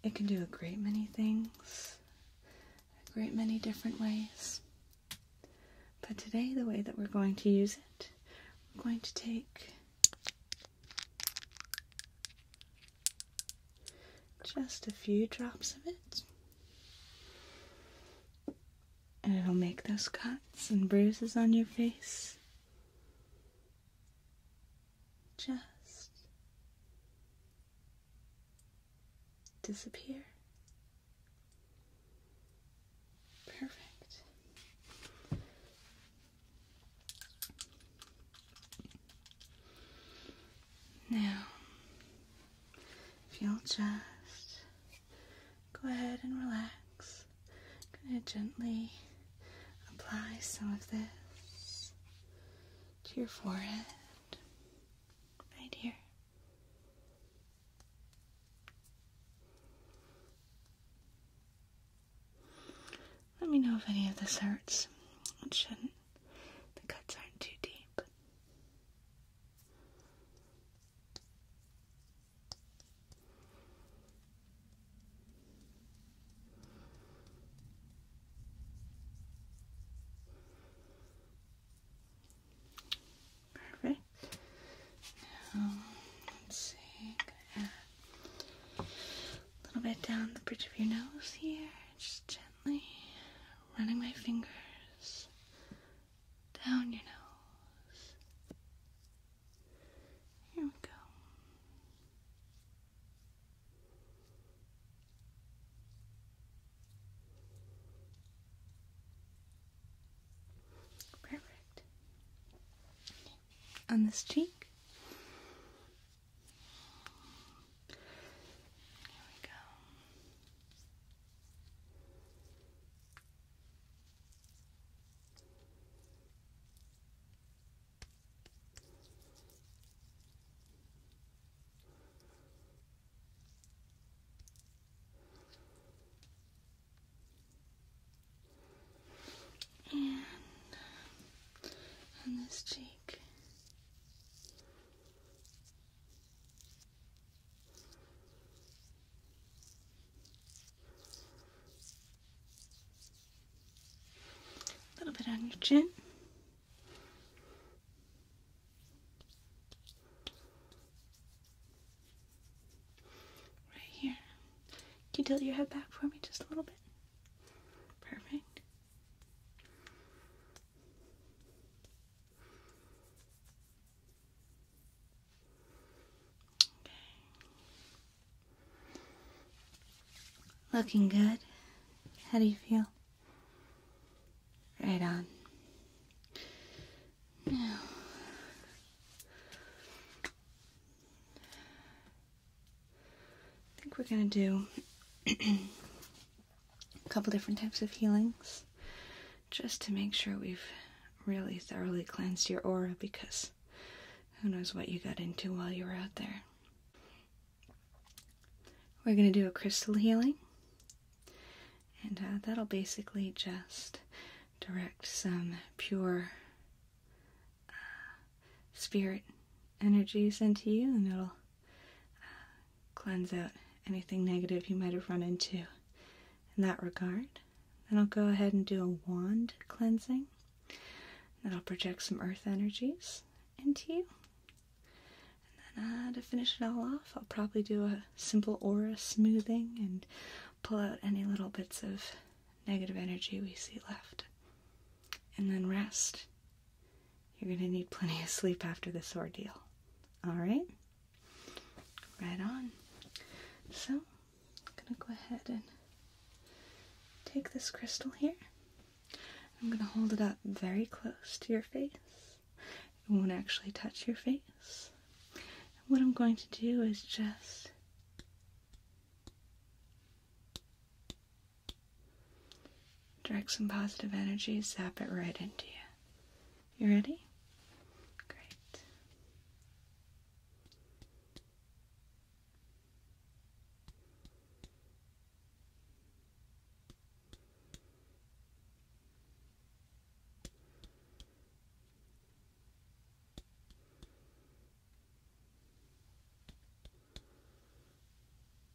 It can do a great many things, a great many different ways. But today, the way that we're going to use it, we're going to take just a few drops of it. And it'll make those cuts and bruises on your face just disappear. Perfect. Now, if you'll just go ahead and relax, I'm going to gently apply some of this to your forehead right here. Let me know if any of this hurts. It shouldn't. The cuts aren't too deep. Perfect. Now, let's see. a little bit down the bridge of your nose here. Just gently running my fingers down your nose. Here we go. Perfect. On this cheek, here we go. And on this cheek, a little bit on your chin. Right here. Can you tilt your head back for me just a little bit? Perfect. Okay. Looking good. How do you feel? Right on. I think we're going to do a couple different types of healings just to make sure we've really thoroughly cleansed your aura because who knows what you got into while you were out there. We're going to do a crystal healing, and uh, that'll basically just direct some pure uh, spirit energies into you, and it'll cleanse out anything negative you might have run into in that regard. Then I'll go ahead and do a wand cleansing. Then I'll project some earth energies into you. And then uh, to finish it all off, I'll probably do a simple aura smoothing and pull out any little bits of negative energy we see left. And then rest. You're going to need plenty of sleep after this ordeal. All right? Right on. So, I'm going to go ahead and take this crystal here. I'm going to hold it up very close to your face. It won't actually touch your face. what I'm going to do is just Direct some positive energy, zap it right into you. You ready? Great.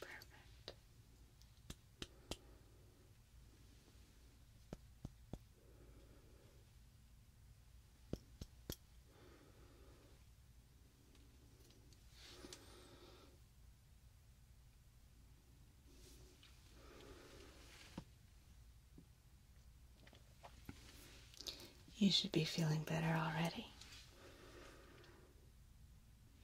Perfect. You should be feeling better already.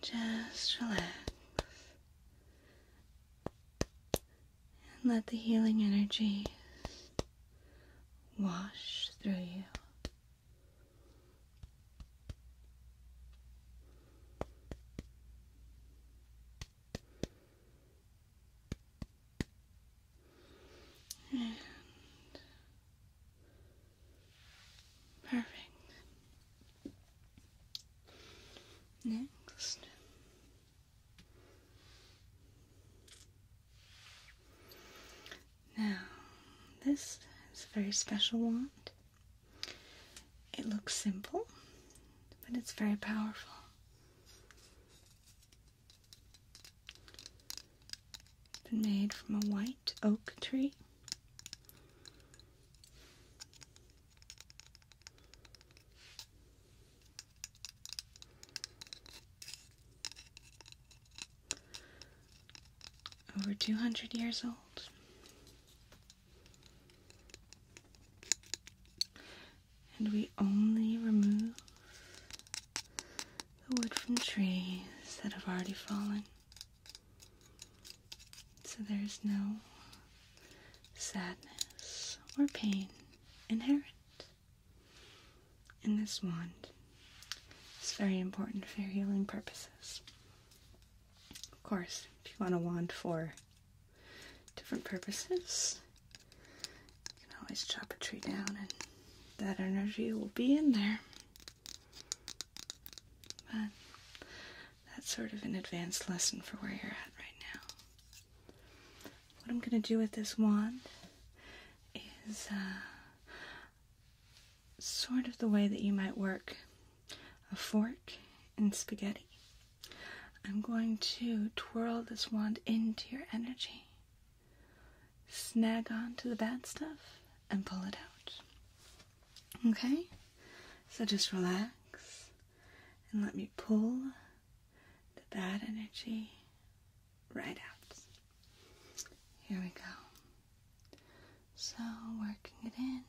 Just relax and let the healing energy wash through you. And Perfect. Next. Now, this is a very special wand. It looks simple, but it's very powerful been made from a white oak tree. Over 200 years old. And we only remove the wood from trees that have already fallen. So there's no sadness or pain inherent in this wand. It's very important for healing purposes. Of course, if you want a wand for different purposes, you can always chop a tree down and that energy will be in there. But that's sort of an advanced lesson for where you're at right now. What I'm going to do with this wand is uh, sort of the way that you might work a fork and spaghetti. I'm going to twirl this wand into your energy, snag onto the bad stuff, and pull it out. Okay? So just relax and let me pull the bad energy right out. Here we go. So working it in,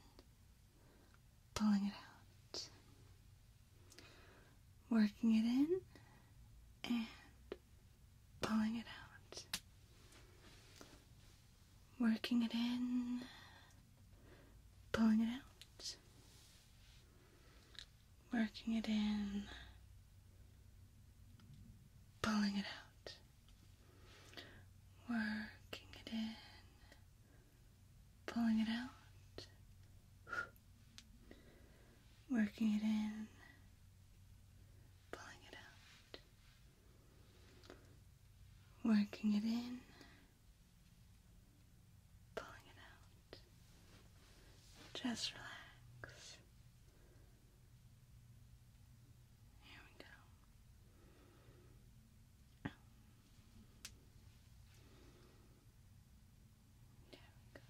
pulling it out. Working it in and pulling it out working it in, pulling it out, working it in, pulling it out, working it in, pulling it out, working it in, pulling it out. Working it in, pulling it out. Just relax. Here we go. There we go.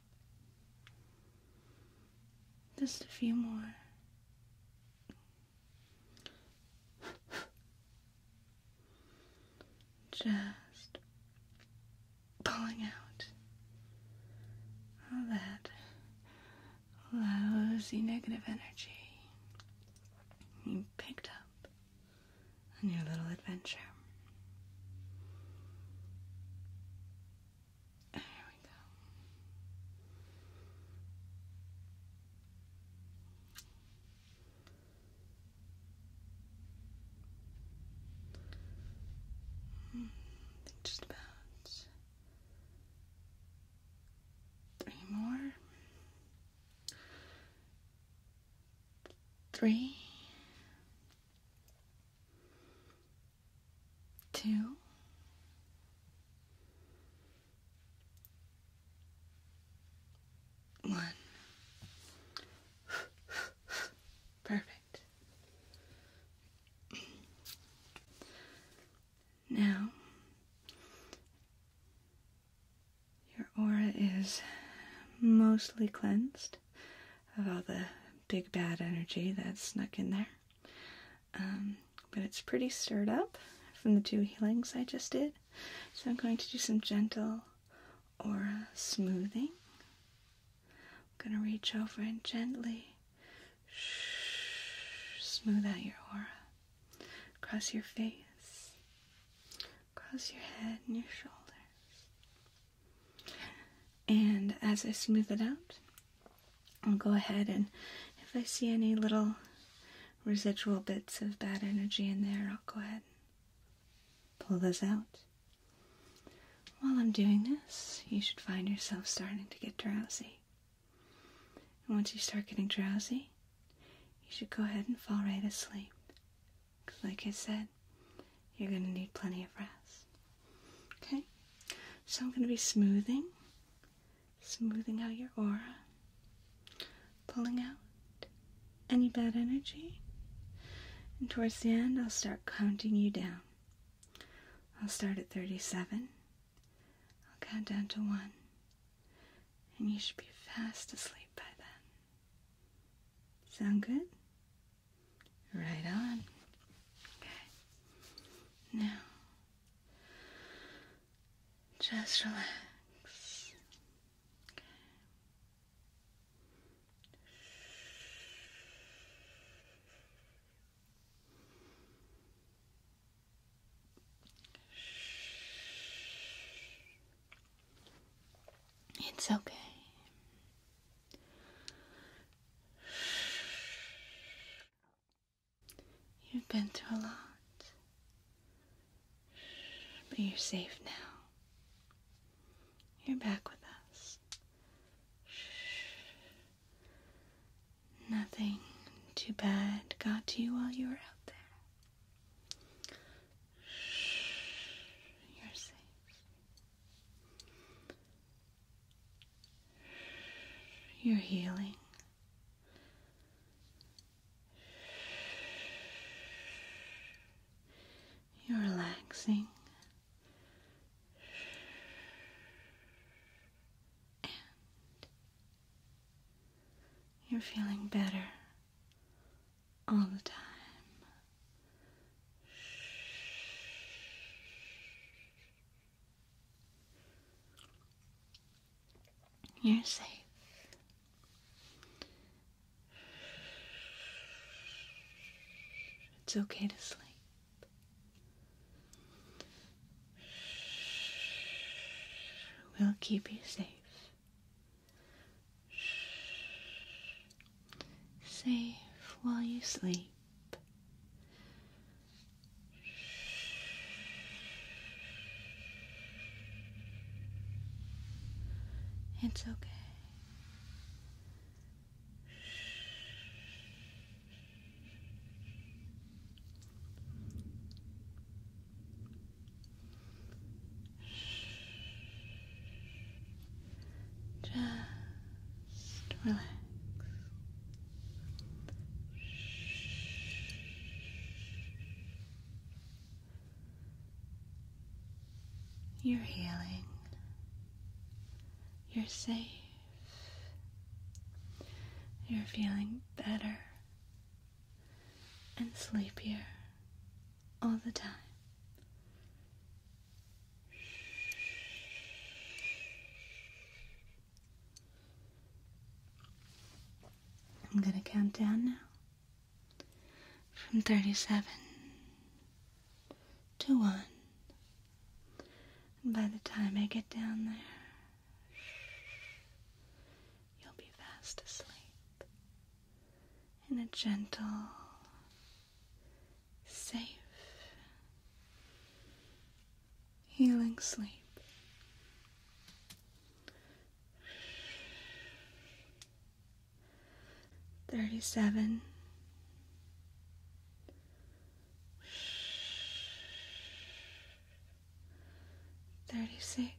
Just a few more. Just pulling out all that lousy negative energy you picked up on your little adventure just about three more. Three, two, one. Perfect. Now, your aura is mostly cleansed of all the big bad energy that's snuck in there. Um, but it's pretty stirred up from the two healings I just did. So I'm going to do some gentle aura smoothing. I'm going to reach over and gently smooth out your aura across your face, across your head and your shoulders. And as I smooth it out, I'll go ahead and if I see any little residual bits of bad energy in there, I'll go ahead and pull those out. While I'm doing this, you should find yourself starting to get drowsy. And once you start getting drowsy, you should go ahead and fall right asleep. Because, like I said, you're going to need plenty of rest. Okay? So I'm going to be smoothing smoothing out your aura, pulling out any bad energy. And towards the end, I'll start counting you down. I'll start at 37. I'll count down to 1. And you should be fast asleep by then. Sound good? Right on. Okay. Now, just relax. It's okay. You've been through a lot. But you're safe now. You're back with us. Nothing too bad got to you while you were out there. You're safe. You're healing. You're relaxing you're feeling better all the time. You're safe. It's okay to sleep. We'll keep you safe. Safe while you sleep. It's okay. Just relax. You're healing. You're safe. You're feeling better and sleepier all the time. I'm gonna count down now from 37 to 1. And by the time I get down there, you'll be fast asleep in a gentle, safe, healing sleep. Thirty seven. Thirty Thirty-six.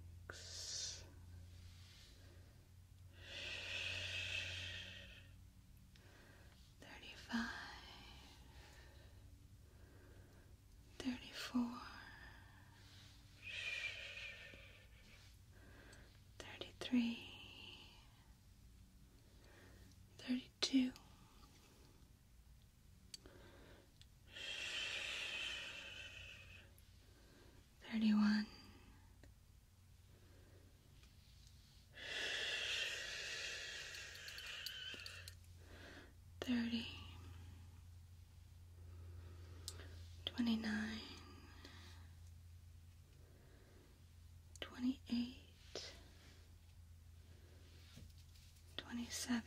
Thirty-five. Thirty-four. Thirty-three. Thirty-two. thirty two. Thirty one, thirty, twenty nine, twenty eight, twenty seven.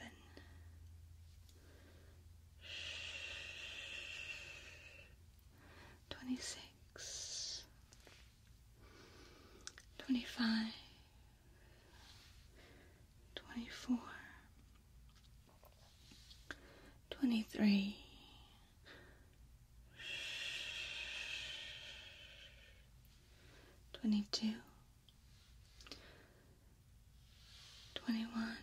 Twenty six, twenty five, 24 23 22 21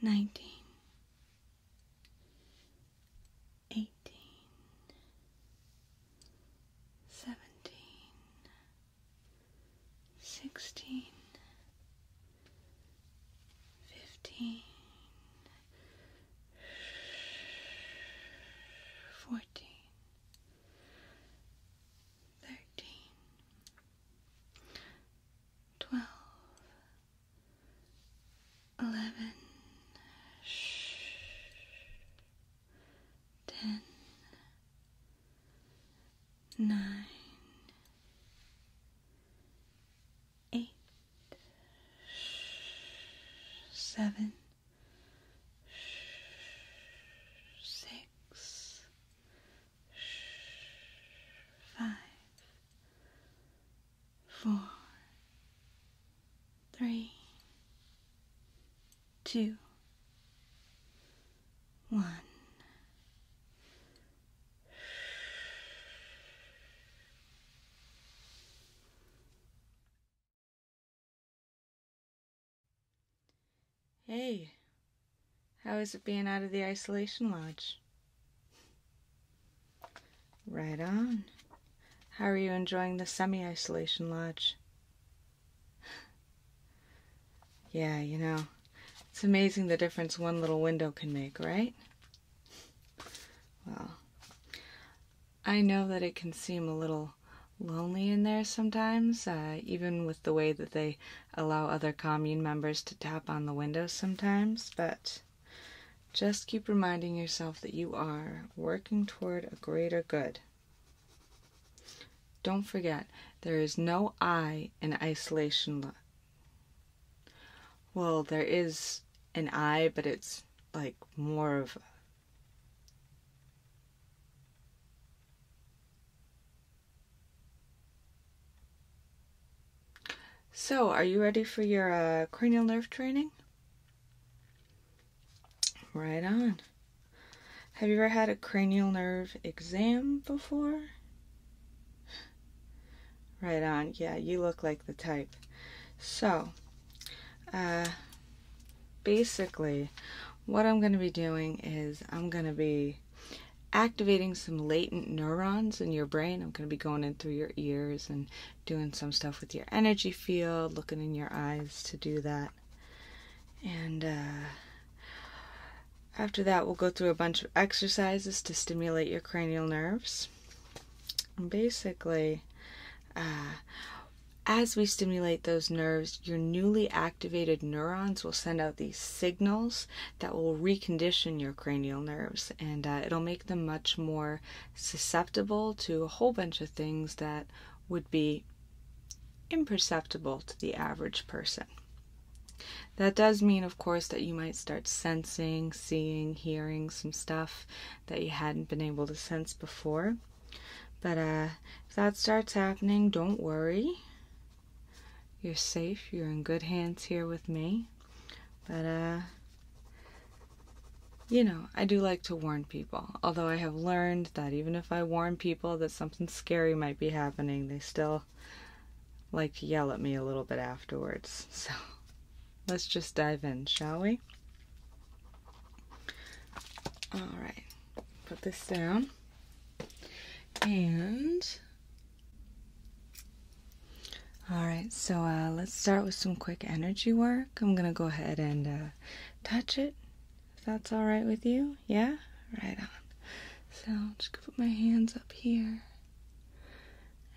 19 eighteen, seventeen, sixteen, fifteen, fourteen, thirteen, twelve eleven, shh, ten, nine, eight, seven, six, five, four, three, two, one. Hey, how is it being out of the isolation lodge? Right on. How are you enjoying the semi isolation lodge? yeah, you know, it's amazing the difference one little window can make, right? Well, I know that it can seem a little lonely in there sometimes, uh, even with the way that they allow other commune members to tap on the windows sometimes, but just keep reminding yourself that you are working toward a greater good. Don't forget, there is no I in isolation. Well, there is an I, but it's like more of So, are you ready for your uh, cranial nerve training? Right on. Have you ever had a cranial nerve exam before? Right on. Yeah, you look like the type. So, uh, basically, what I'm going to be doing is I'm going to be activating some latent neurons in your brain. I'm going to be going in through your ears and doing some stuff with your energy field, looking in your eyes to do that. And uh, after that, we'll go through a bunch of exercises to stimulate your cranial nerves. basically, uh, as we stimulate those nerves, your newly activated neurons will send out these signals that will recondition your cranial nerves and uh, it'll make them much more susceptible to a whole bunch of things that would be imperceptible to the average person. That does mean, of course, that you might start sensing, seeing, hearing some stuff that you hadn't been able to sense before. But uh, if that starts happening, don't worry. You're safe. You're in good hands here with me. But uh, you know, I do like to warn people, although I have learned that even if I warn people that something scary might be happening, they still like to yell at me a little bit afterwards. So let's just dive in, shall we? All right, put this down. And all right, so uh, let's start with some quick energy work. I'm going to go ahead and uh, touch it. If that's all right with you, yeah? Right on. So just going to put my hands up here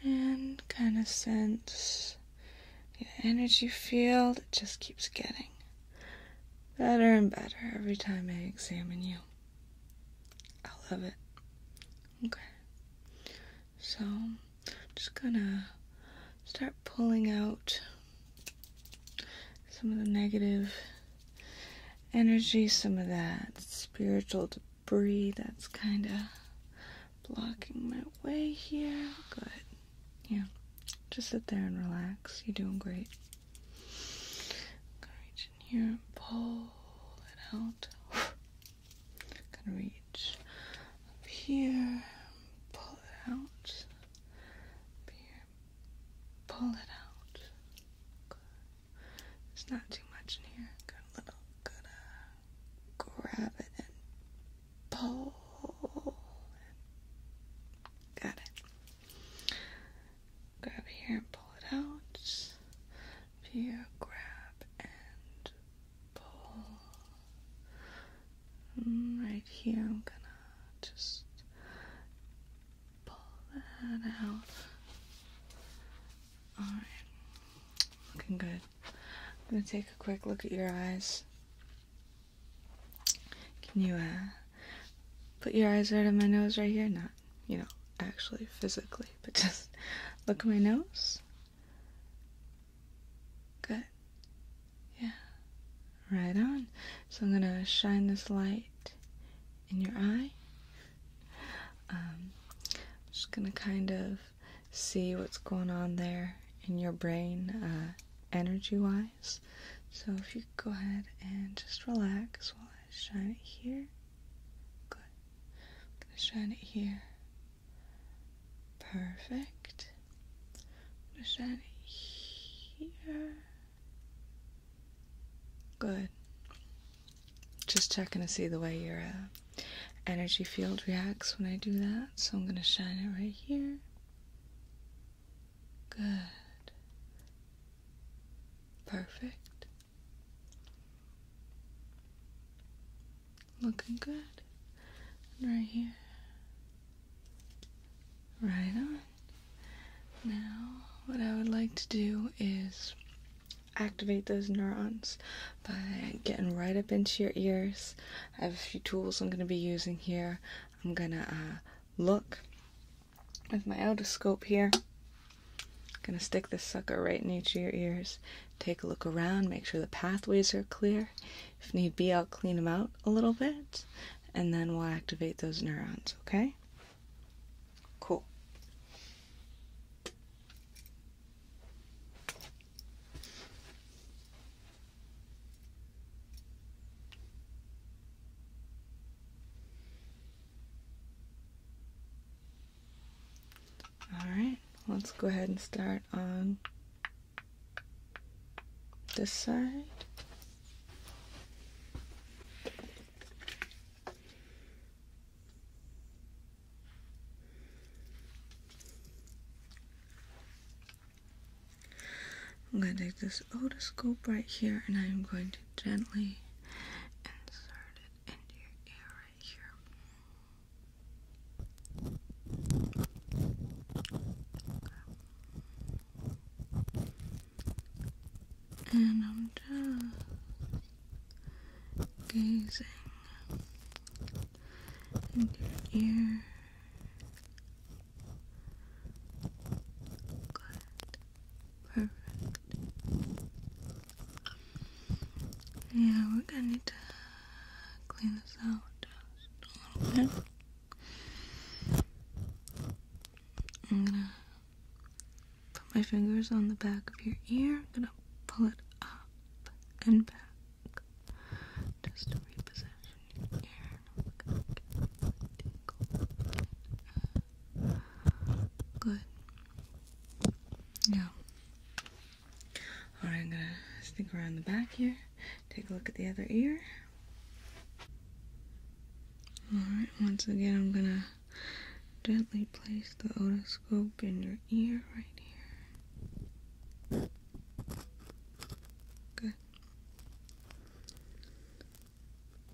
and kind of sense the energy field. It just keeps getting better and better every time I examine you. I love it. Okay. So just gonna start pulling out some of the negative energy, some of that spiritual debris that's kind of blocking my way here. Good. Yeah. Just sit there and relax. You're doing great. gonna reach in here and pull it out. gonna reach up here, pull it out, here, pull it out. There's not too much in here. Good little, good. Uh, grab it and pull. Got it. Grab here and pull it out. here, grab and pull. Mm, right here, I'm gonna just pull that out. Alright, looking good. I'm gonna take a quick look at your eyes. Can you uh, put your eyes right on my nose right here? Not, you know, actually physically, but just look at my nose. Good. Yeah. Right on. So I'm going to shine this light in your eye. Um, just going to kind of see what's going on there in your brain uh, energy wise. So if you go ahead and just relax while I shine it here. Good. I'm going to shine it here. Perfect. Is that here? Good. Just checking to see the way your uh, energy field reacts when I do that. So I'm going to shine it right here. Good. Perfect. Looking good. right here. Right on. Now, what I would like to do is activate those neurons by getting right up into your ears. I have a few tools I'm going to be using here. I'm going to uh, look with my otoscope here. I'm going to stick this sucker right in each of your ears. Take a look around, make sure the pathways are clear. If need be, I'll clean them out a little bit and then we'll activate those neurons, okay? Cool. All right, let's go ahead and start on this side. I'm going to take this otoscope right here and I'm going to gently insert it into your ear right here. And I'm just gazing in your ear. Good. Perfect. Yeah, we're gonna need to clean this out a little bit. I'm gonna put my fingers on the back of your ear. I'm gonna pull it up and back just to reposition your ear. Good. Now, alright, I'm gonna stick around the back here Take a look at the other ear. Alright, once again, I'm gonna gently place the otoscope in your ear right here. Good.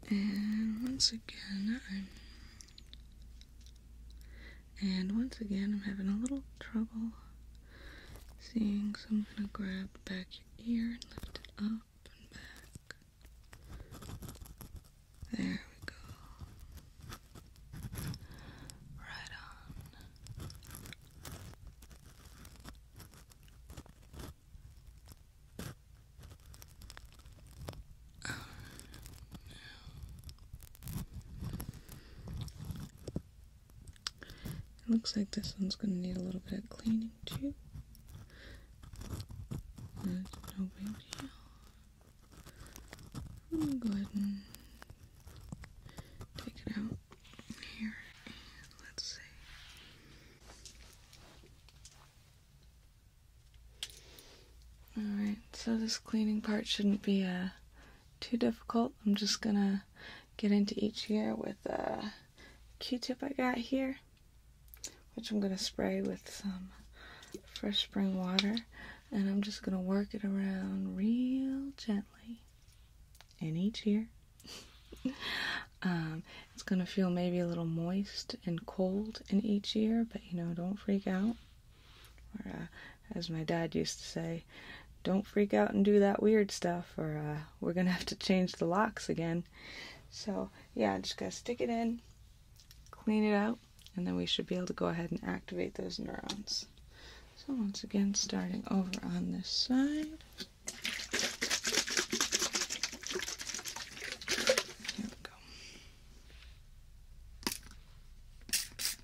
And once again, and once again, I'm having a little trouble seeing. So I'm gonna grab back your ear and lift it up and back. There we go. Right on. no. It looks like this one's going to need a little bit of cleaning too. I'm going to go ahead and take it out here let's see. Alright, so this cleaning part shouldn't be uh, too difficult. I'm just gonna get into each year with a Q-tip I got here, which I'm going to spray with some fresh spring water. And I'm just going to work it around real gently. in each year, um, it's going to feel maybe a little moist and cold in each year, but you know, don't freak out. Or, uh, as my dad used to say, don't freak out and do that weird stuff, or uh, we're gonna have to change the locks again. So yeah, just gonna stick it in, clean it out, and then we should be able to go ahead and activate those neurons. So once again, starting over on this side. Here we go. Okay.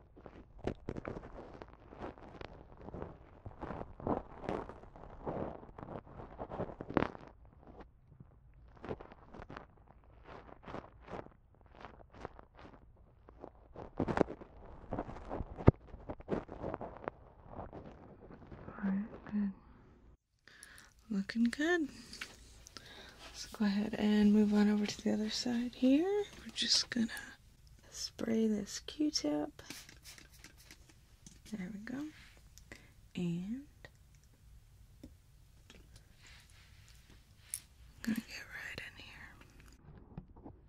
Looking good. Let's go ahead and move on over to the other side here. We're just gonna spray this Q-tip. There we go. And going to get right in here.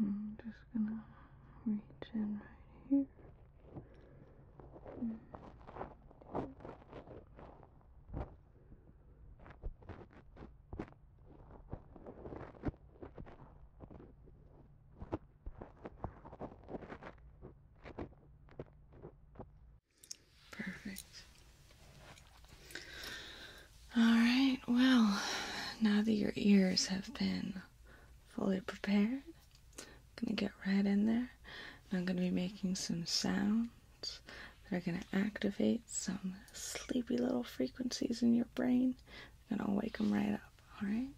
I'm just gonna reach in right here. And mm. Perfect. All right, well, now that your ears have been fully prepared, I'm going to get right in there. I'm going to be making some sound that are going to activate some sleepy little frequencies in your brain. and I'll wake them right up, all right?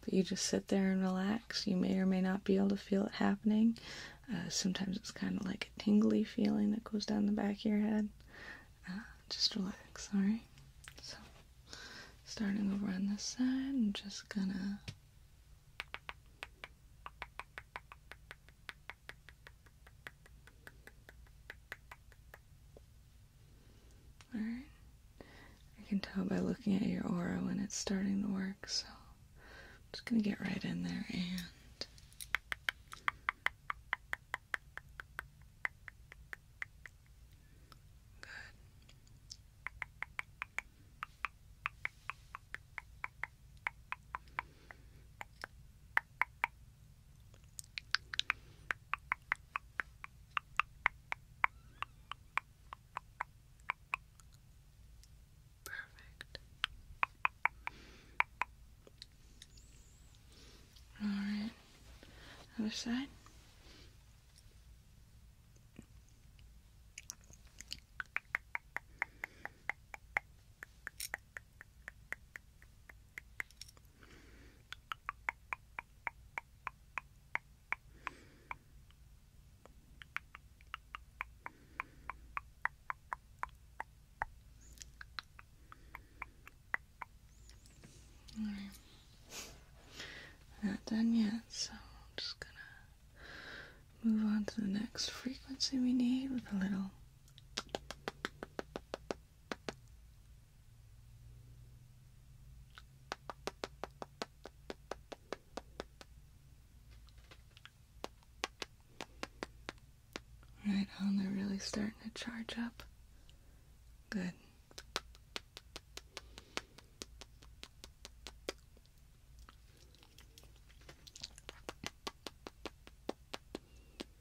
But you just sit there and relax. You may or may not be able to feel it happening. Uh, sometimes it's kind of like a tingly feeling that goes down the back of your head. Uh, just relax, all right? So, starting over on this side, I'm just going to Alright. I can tell by looking at your aura when it's starting to work, so I'm just gonna get right in there and Good. Perfect. All right. Other side. Alright. Not done yet, so I'm just gonna move on to the next frequency we need with a little Right on, they're really starting to charge up. Good.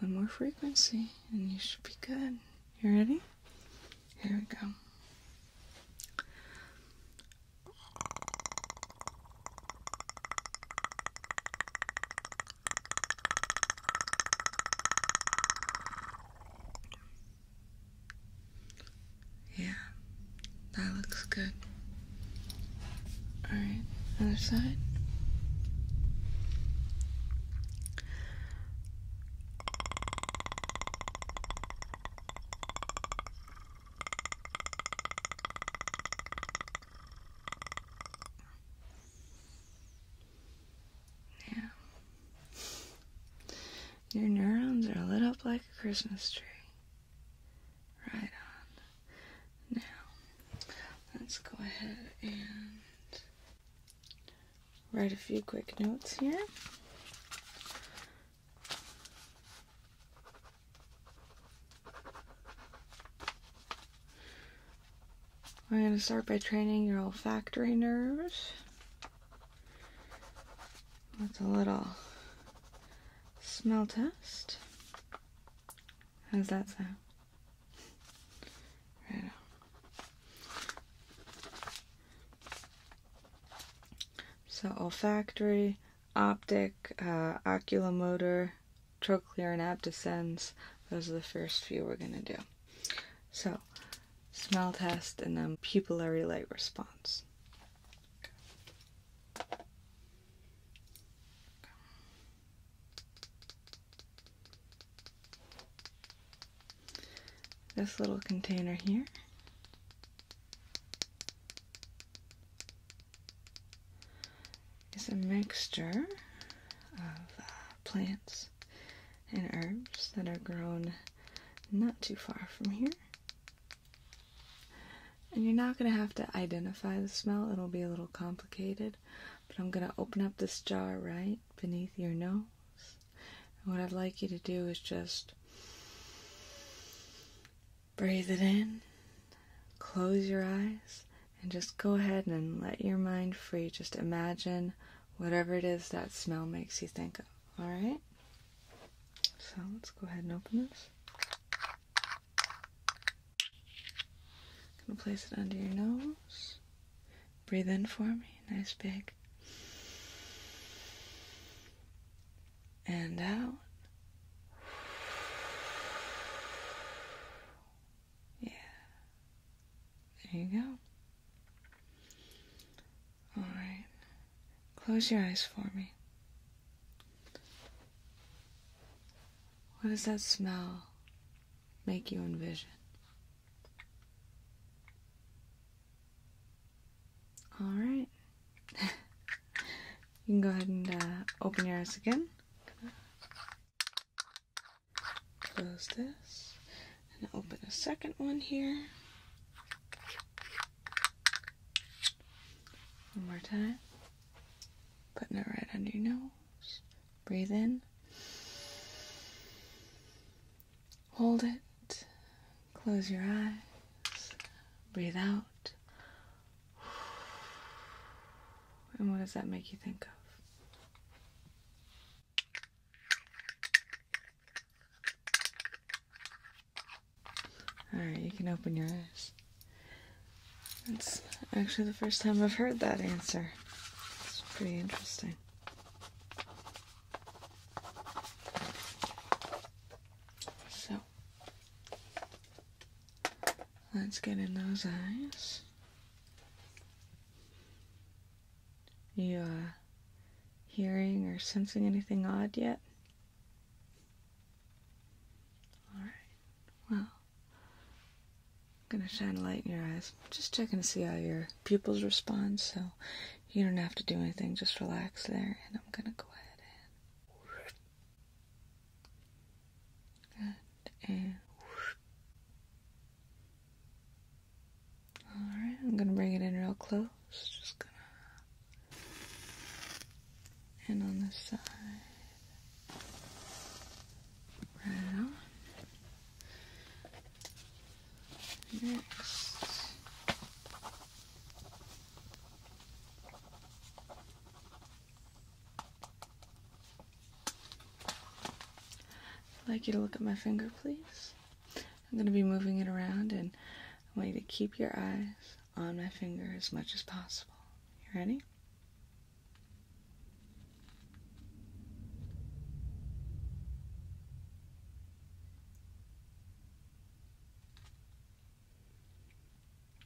One more frequency and you should be good. You ready? Here we go. Yeah, that looks good. Alright, other side. Yeah. Your neurons are lit up like a Christmas tree. Right on. Now, let's go ahead and write a few quick notes here. I'm going to start by training your olfactory nerves. That's a little smell test. How's that sound? Right on. So olfactory optic, uh, oculomotor, trochlear, and abducens. Those are the first few we're going to do. So, smell test and then pupillary light response. This little container here it's a mixture of uh, plants and herbs that are grown not too far from here. And you're not going to have to identify the smell, it'll be a little complicated. But I'm going to open up this jar right beneath your nose. And what I'd like you to do is just Breathe it in, close your eyes, and just go ahead and let your mind free. Just imagine whatever it is that smell makes you think of. All right? So let's go ahead and open this. i going to place it under your nose. Breathe in for me, nice big. And out. Yeah. There you go. All right. Close your eyes for me. What does that smell make you envision? All right. you can go ahead and uh, open your eyes again close this and open a second one here. One more time. Putting it right under your nose. Breathe in. Hold it. Close your eyes. Breathe out. And what does that make you think of? Alright, you can open your eyes. That's actually the first time I've heard that answer. It's pretty interesting. So, Let's get in those eyes. You are uh, hearing or sensing anything odd yet? Alright, well, I'm gonna shine a light in your eyes. Just checking to see how your pupils respond, so you don't have to do anything, just relax there, and I'm gonna go ahead and Good and all right. I'm gonna bring it in real close. Just gonna and on the side. Right on. Next. I'd like you to look at my finger, please. I'm going to be moving it around, and I want you to keep your eyes on my finger as much as possible. You ready?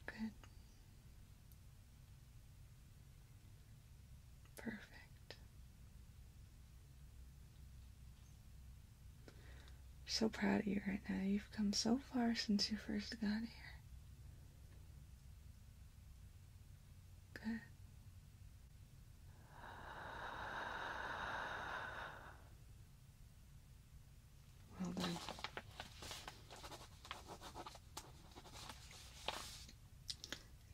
Good. Perfect. so proud of you right now. You've come so far since you first got here. Good. Well done.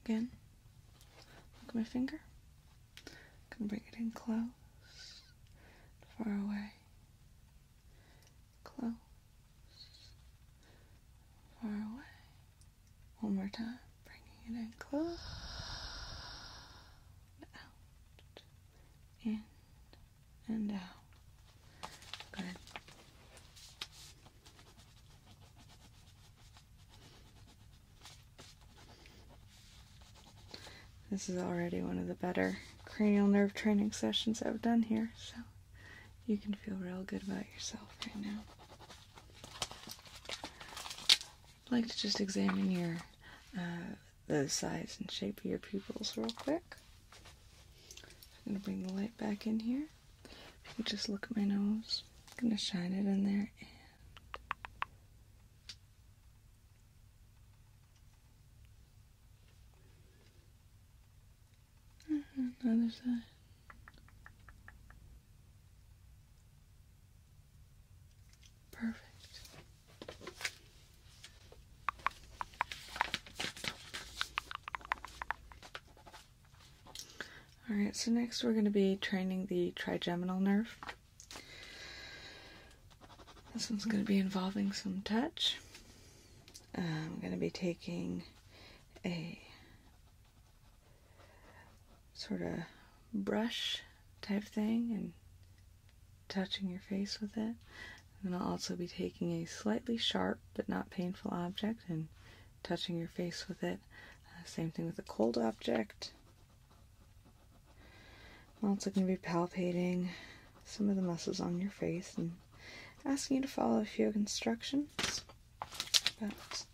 Again, look at my finger. can bring it in close, far away, close, far away. One more time, bringing it in close, out, in, and uh, out. This is already one of the better cranial nerve training sessions I've done here, so you can feel real good about yourself right now. I'd like to just examine your uh, the size and shape of your pupils real quick. I'm going to bring the light back in here just look at my nose, I'm gonna shine it in there and mm-hmm, the other side. Perfect. Alright, so next we're going to be training the trigeminal nerve. This one's going to be involving some touch. I'm going to be taking a sort of brush type thing and touching your face with it. And I'll also be taking a slightly sharp but not painful object and touching your face with it. Uh, same thing with a cold object. I'm also going to be palpating some of the muscles on your face and asking you to follow a few instructions. But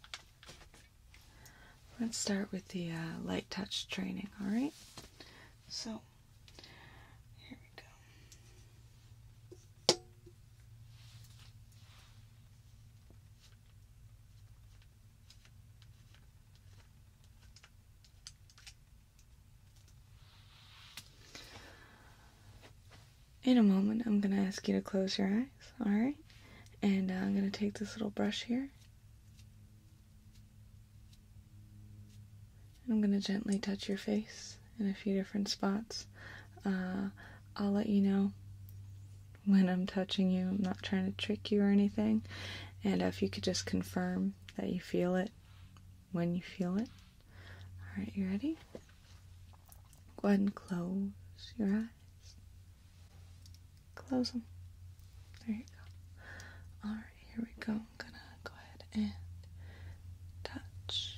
let's start with the uh, light touch training, alright? So, here we go. In a moment, I'm going to ask you to close your eyes, all right? And uh, I'm going to take this little brush here. I'm going to gently touch your face in a few different spots. Uh, I'll let you know when I'm touching you. I'm not trying to trick you or anything. And if you could just confirm that you feel it when you feel it. Alright, you ready? Go ahead and close your eyes. Close them. There you go. Alright, here we go. I'm gonna go ahead and touch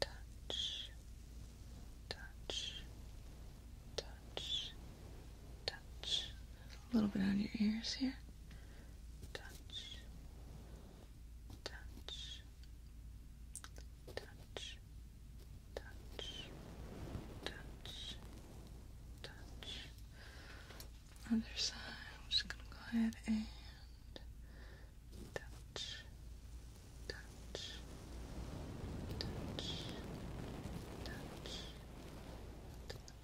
touch, touch, touch, touch. A little bit on your ears here. Touch, touch, touch, touch, touch, touch. Other side. I'm just gonna go ahead and touch, touch, touch, touch,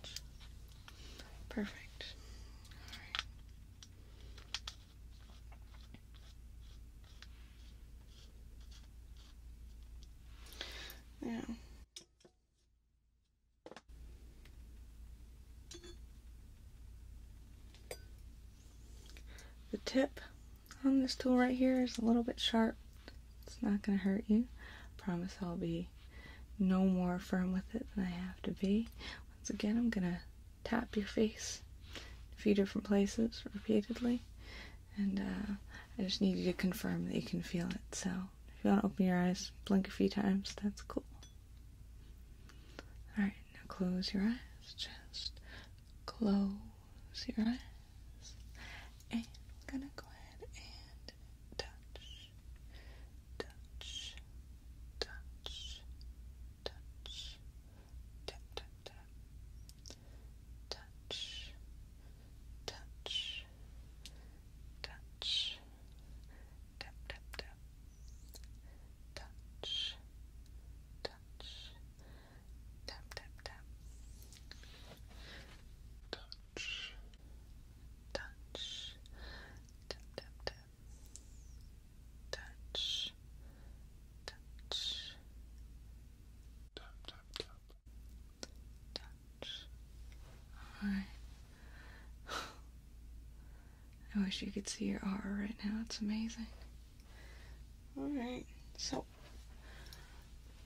touch. Perfect. All right. The tip on this tool right here is a little bit sharp. It's not going to hurt you. promise I'll be no more firm with it than I have to be. Once again, I'm going to tap your face a few different places repeatedly. And uh, I just need you to confirm that you can feel it. So if you want to open your eyes, blink a few times, that's cool. Alright, now close your eyes. Just close your eyes. And I'm gonna go ahead and touch, touch, touch, touch, tap, tap, tap, touch, touch, touch, tap, tap, tap touch, touch, tap, tap, tap, touch, touch, tap, tap, tap, touch, touch, tap, tap, tap, touch. All right. I wish you could see your R right now. It's amazing. Alright, so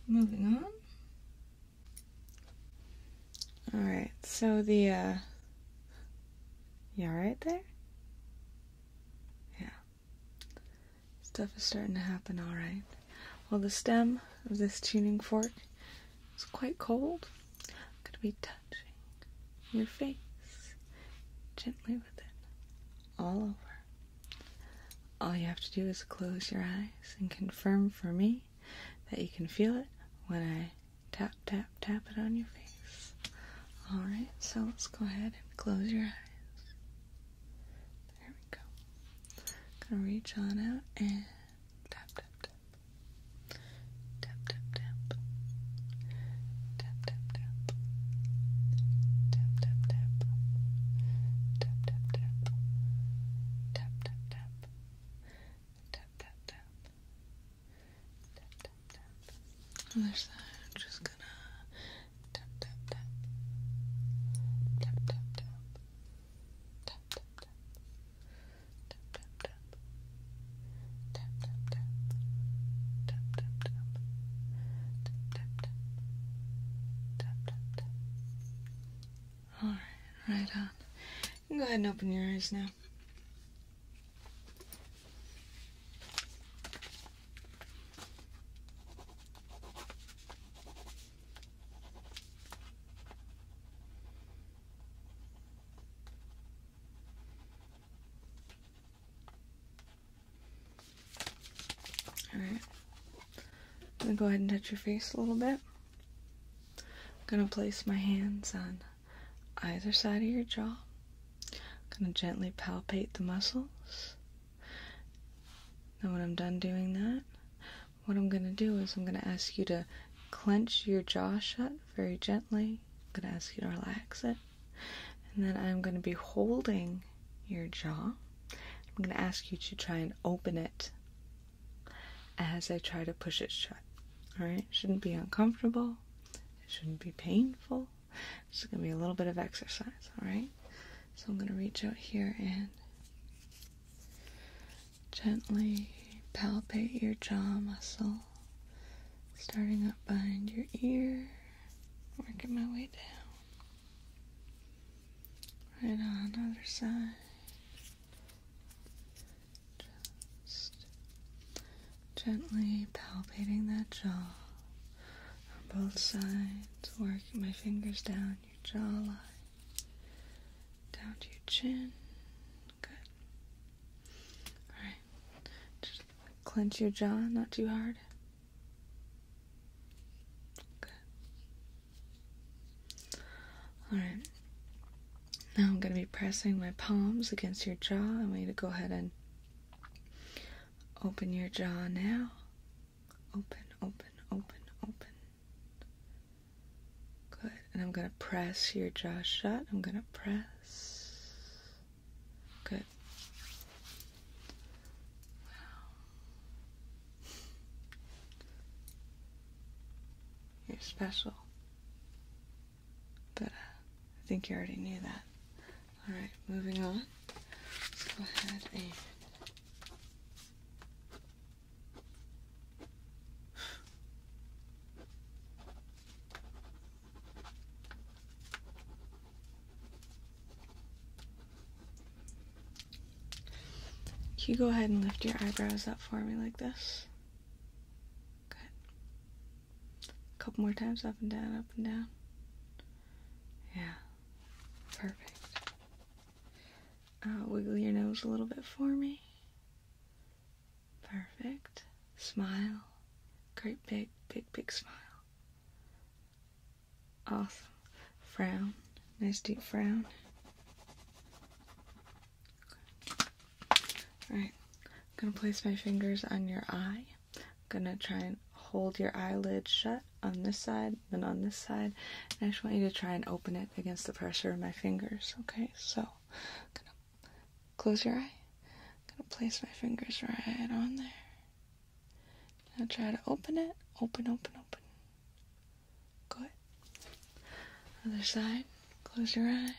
moving on. Alright, so the, uh, you alright there? Yeah. Stuff is starting to happen alright. Well, the stem of this tuning fork is quite cold, i going to be touching your face gently with it all over. All you have to do is close your eyes and confirm for me that you can feel it when I tap, tap, tap it on your face. Alright, so let's go ahead and close your eyes. There we go. I'm gonna reach on out and tap, tap, tap. Tap tap tap. Tap tap tap. Tap tap tap. Tap tap tap. Tap tap tap. Tap tap tap. Tap tap tap. Other side, just gonna tap tap tap. Tap tap tap. Tap tap tap. Tap tap tap tap tap tap tap tap tap tap tap tap Alright, right on. go ahead and open your eyes now. Alright. I'm going to go ahead and touch your face a little bit. I'm going to place my hands on either side of your jaw. I'm going to gently palpate the muscles. Now, when I'm done doing that, what I'm going to do is I'm going to ask you to clench your jaw shut very gently I'm going to ask you to relax it. And then I'm going to be holding your jaw. I'm going to ask you to try and open it as I try to push it shut. Alright? shouldn't be uncomfortable. shouldn't be painful. It's going to be a little bit of exercise. Alright? So I'm going to reach out here and gently palpate your jaw muscle starting up behind your ear, working my way down, right on other side. Just gently palpating that jaw on both sides, working my fingers down your jawline, down to your chin. Good. All right, just clench your jaw, not too hard. Good. All right. Now I'm going to be pressing my palms against your jaw. I want you to go ahead and open your jaw now. Open, open, open, open. Good. And I'm going to press your jaw shut. I'm going to press. Good. You're special. But uh, I think you already knew that. Alright, moving on. Let's go ahead and. Can you go ahead and lift your eyebrows up for me like this? Good. A couple more times up and down, up and down. Yeah. Perfect. Uh, wiggle your nose a little bit for me. Perfect. Smile. Great big, big, big smile. Awesome. Frown. Nice deep frown. Alright. I'm going to place my fingers on your eye. I'm going to try and hold your eyelid shut on this side, then on this side. And I just want you to try and open it against the pressure of my fingers. Okay, so Close your eye. I'm gonna place my fingers right on there. Now try to open it. Open, open, open. Good. Other side. Close your eye. I'm gonna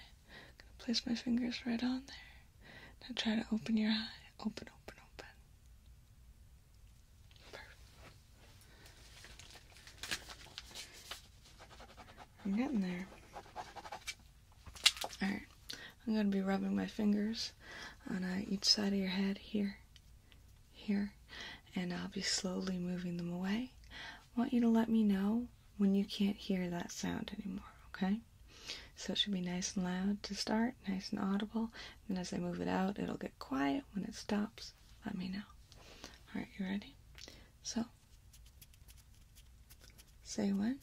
place my fingers right on there. Now try to open your eye. Open, open, open. Perfect. I'm getting there. Alright, I'm going to be rubbing my fingers on uh, each side of your head here, here, and I'll be slowly moving them away. want you to let me know when you can't hear that sound anymore, okay? So it should be nice and loud to start, nice and audible, and as I move it out, it'll get quiet. When it stops, let me know. Alright, you ready? So, say when.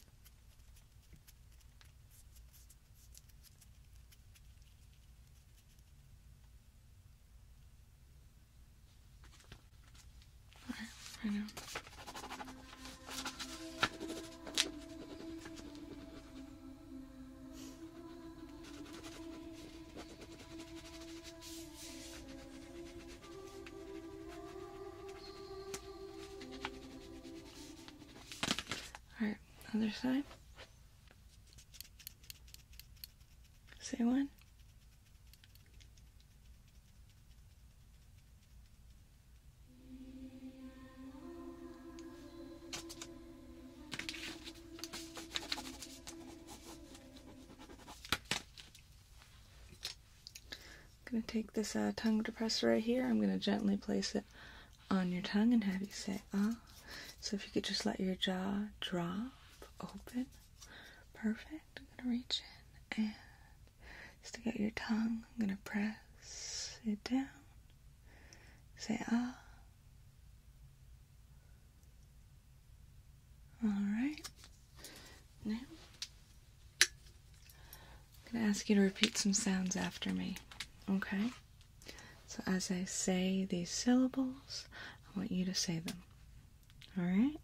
Alright, right now. Alright, other side. Say one. I'm going to take this uh, tongue depressor right here. I'm going to gently place it on your tongue and have you say ah. So if you could just let your jaw drop open. Perfect. I'm going to reach in and stick out your tongue. I'm going to press it down. Say ah. All right. Now I'm going to ask you to repeat some sounds after me, okay? So as I say these syllables, I want you to say them. All right?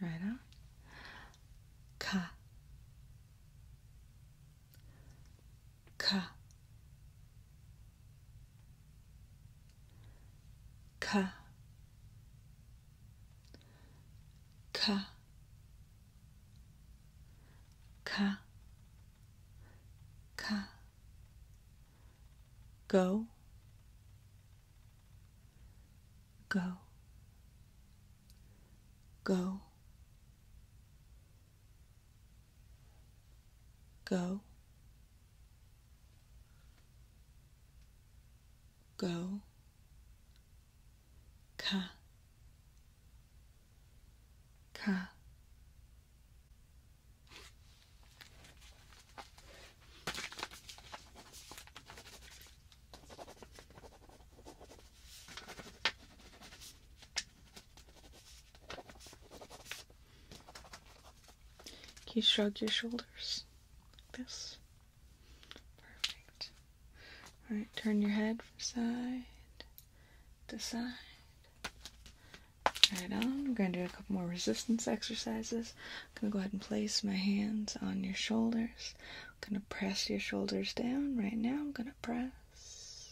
Right on. Ka. Ka. Ka. Ka. Ka. Ka. Go. Go. Go. Go. Go ka ka You shrug your shoulders like this. Perfect. Alright, turn your head from side to side. Right on. I'm going to do a couple more resistance exercises. I'm going to go ahead and place my hands on your shoulders. I'm going to press your shoulders down right now. I'm going to press.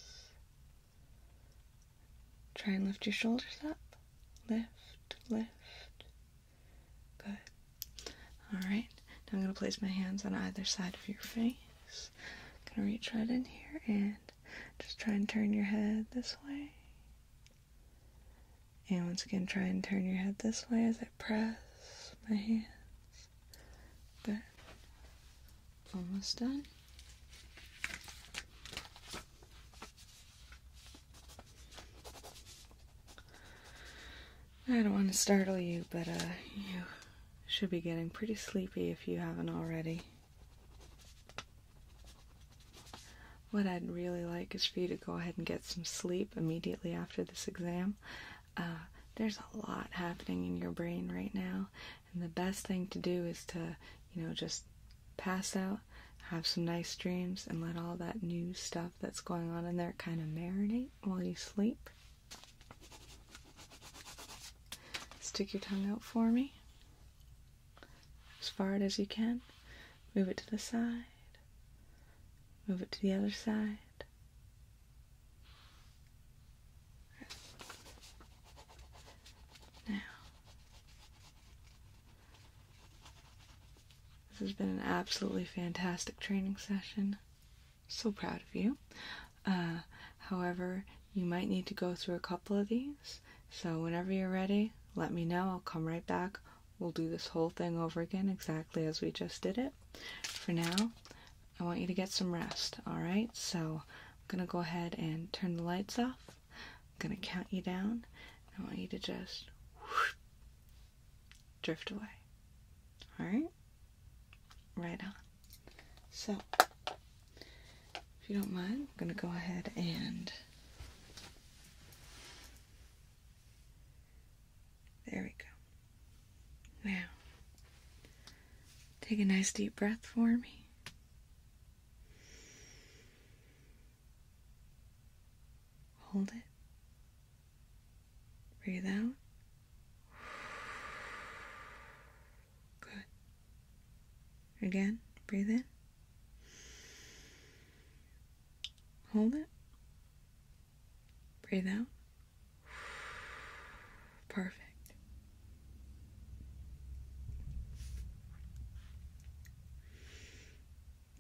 Try and lift your shoulders up. Lift, lift. Good. All right. Now I'm going to place my hands on either side of your face knees. Gonna reach right in here and just try and turn your head this way. And once again, try and turn your head this way as I press my hands. But almost done. I don't want to startle you, but uh, you should be getting pretty sleepy if you haven't already. What I'd really like is for you to go ahead and get some sleep immediately after this exam. Uh, there's a lot happening in your brain right now, and the best thing to do is to, you know, just pass out, have some nice dreams, and let all that new stuff that's going on in there kind of marinate while you sleep. Stick your tongue out for me as far as you can. Move it to the side. Move it to the other side. Now, this has been an absolutely fantastic training session so proud of you. Uh, however, you might need to go through a couple of these, so whenever you're ready, let me know. I'll come right back. We'll do this whole thing over again exactly as we just did it. For now, I want you to get some rest, alright? So I'm going to go ahead and turn the lights off. I'm going to count you down. I want you to just drift away. Alright? right? on. So, if you don't mind, I'm going to go ahead and. There we go. Now, take a nice deep breath for me. Hold it. Breathe out. Good. Again, breathe in. Hold it. Breathe out. Perfect.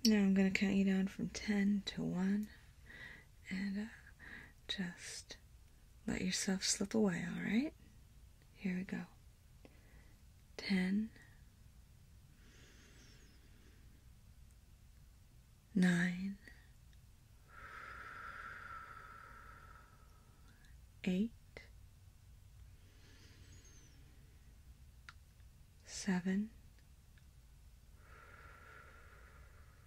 Now I'm going to count you down from 10 to 1 and uh, just let yourself slip away, alright? Here we go. Ten, nine, eight, seven,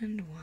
and one.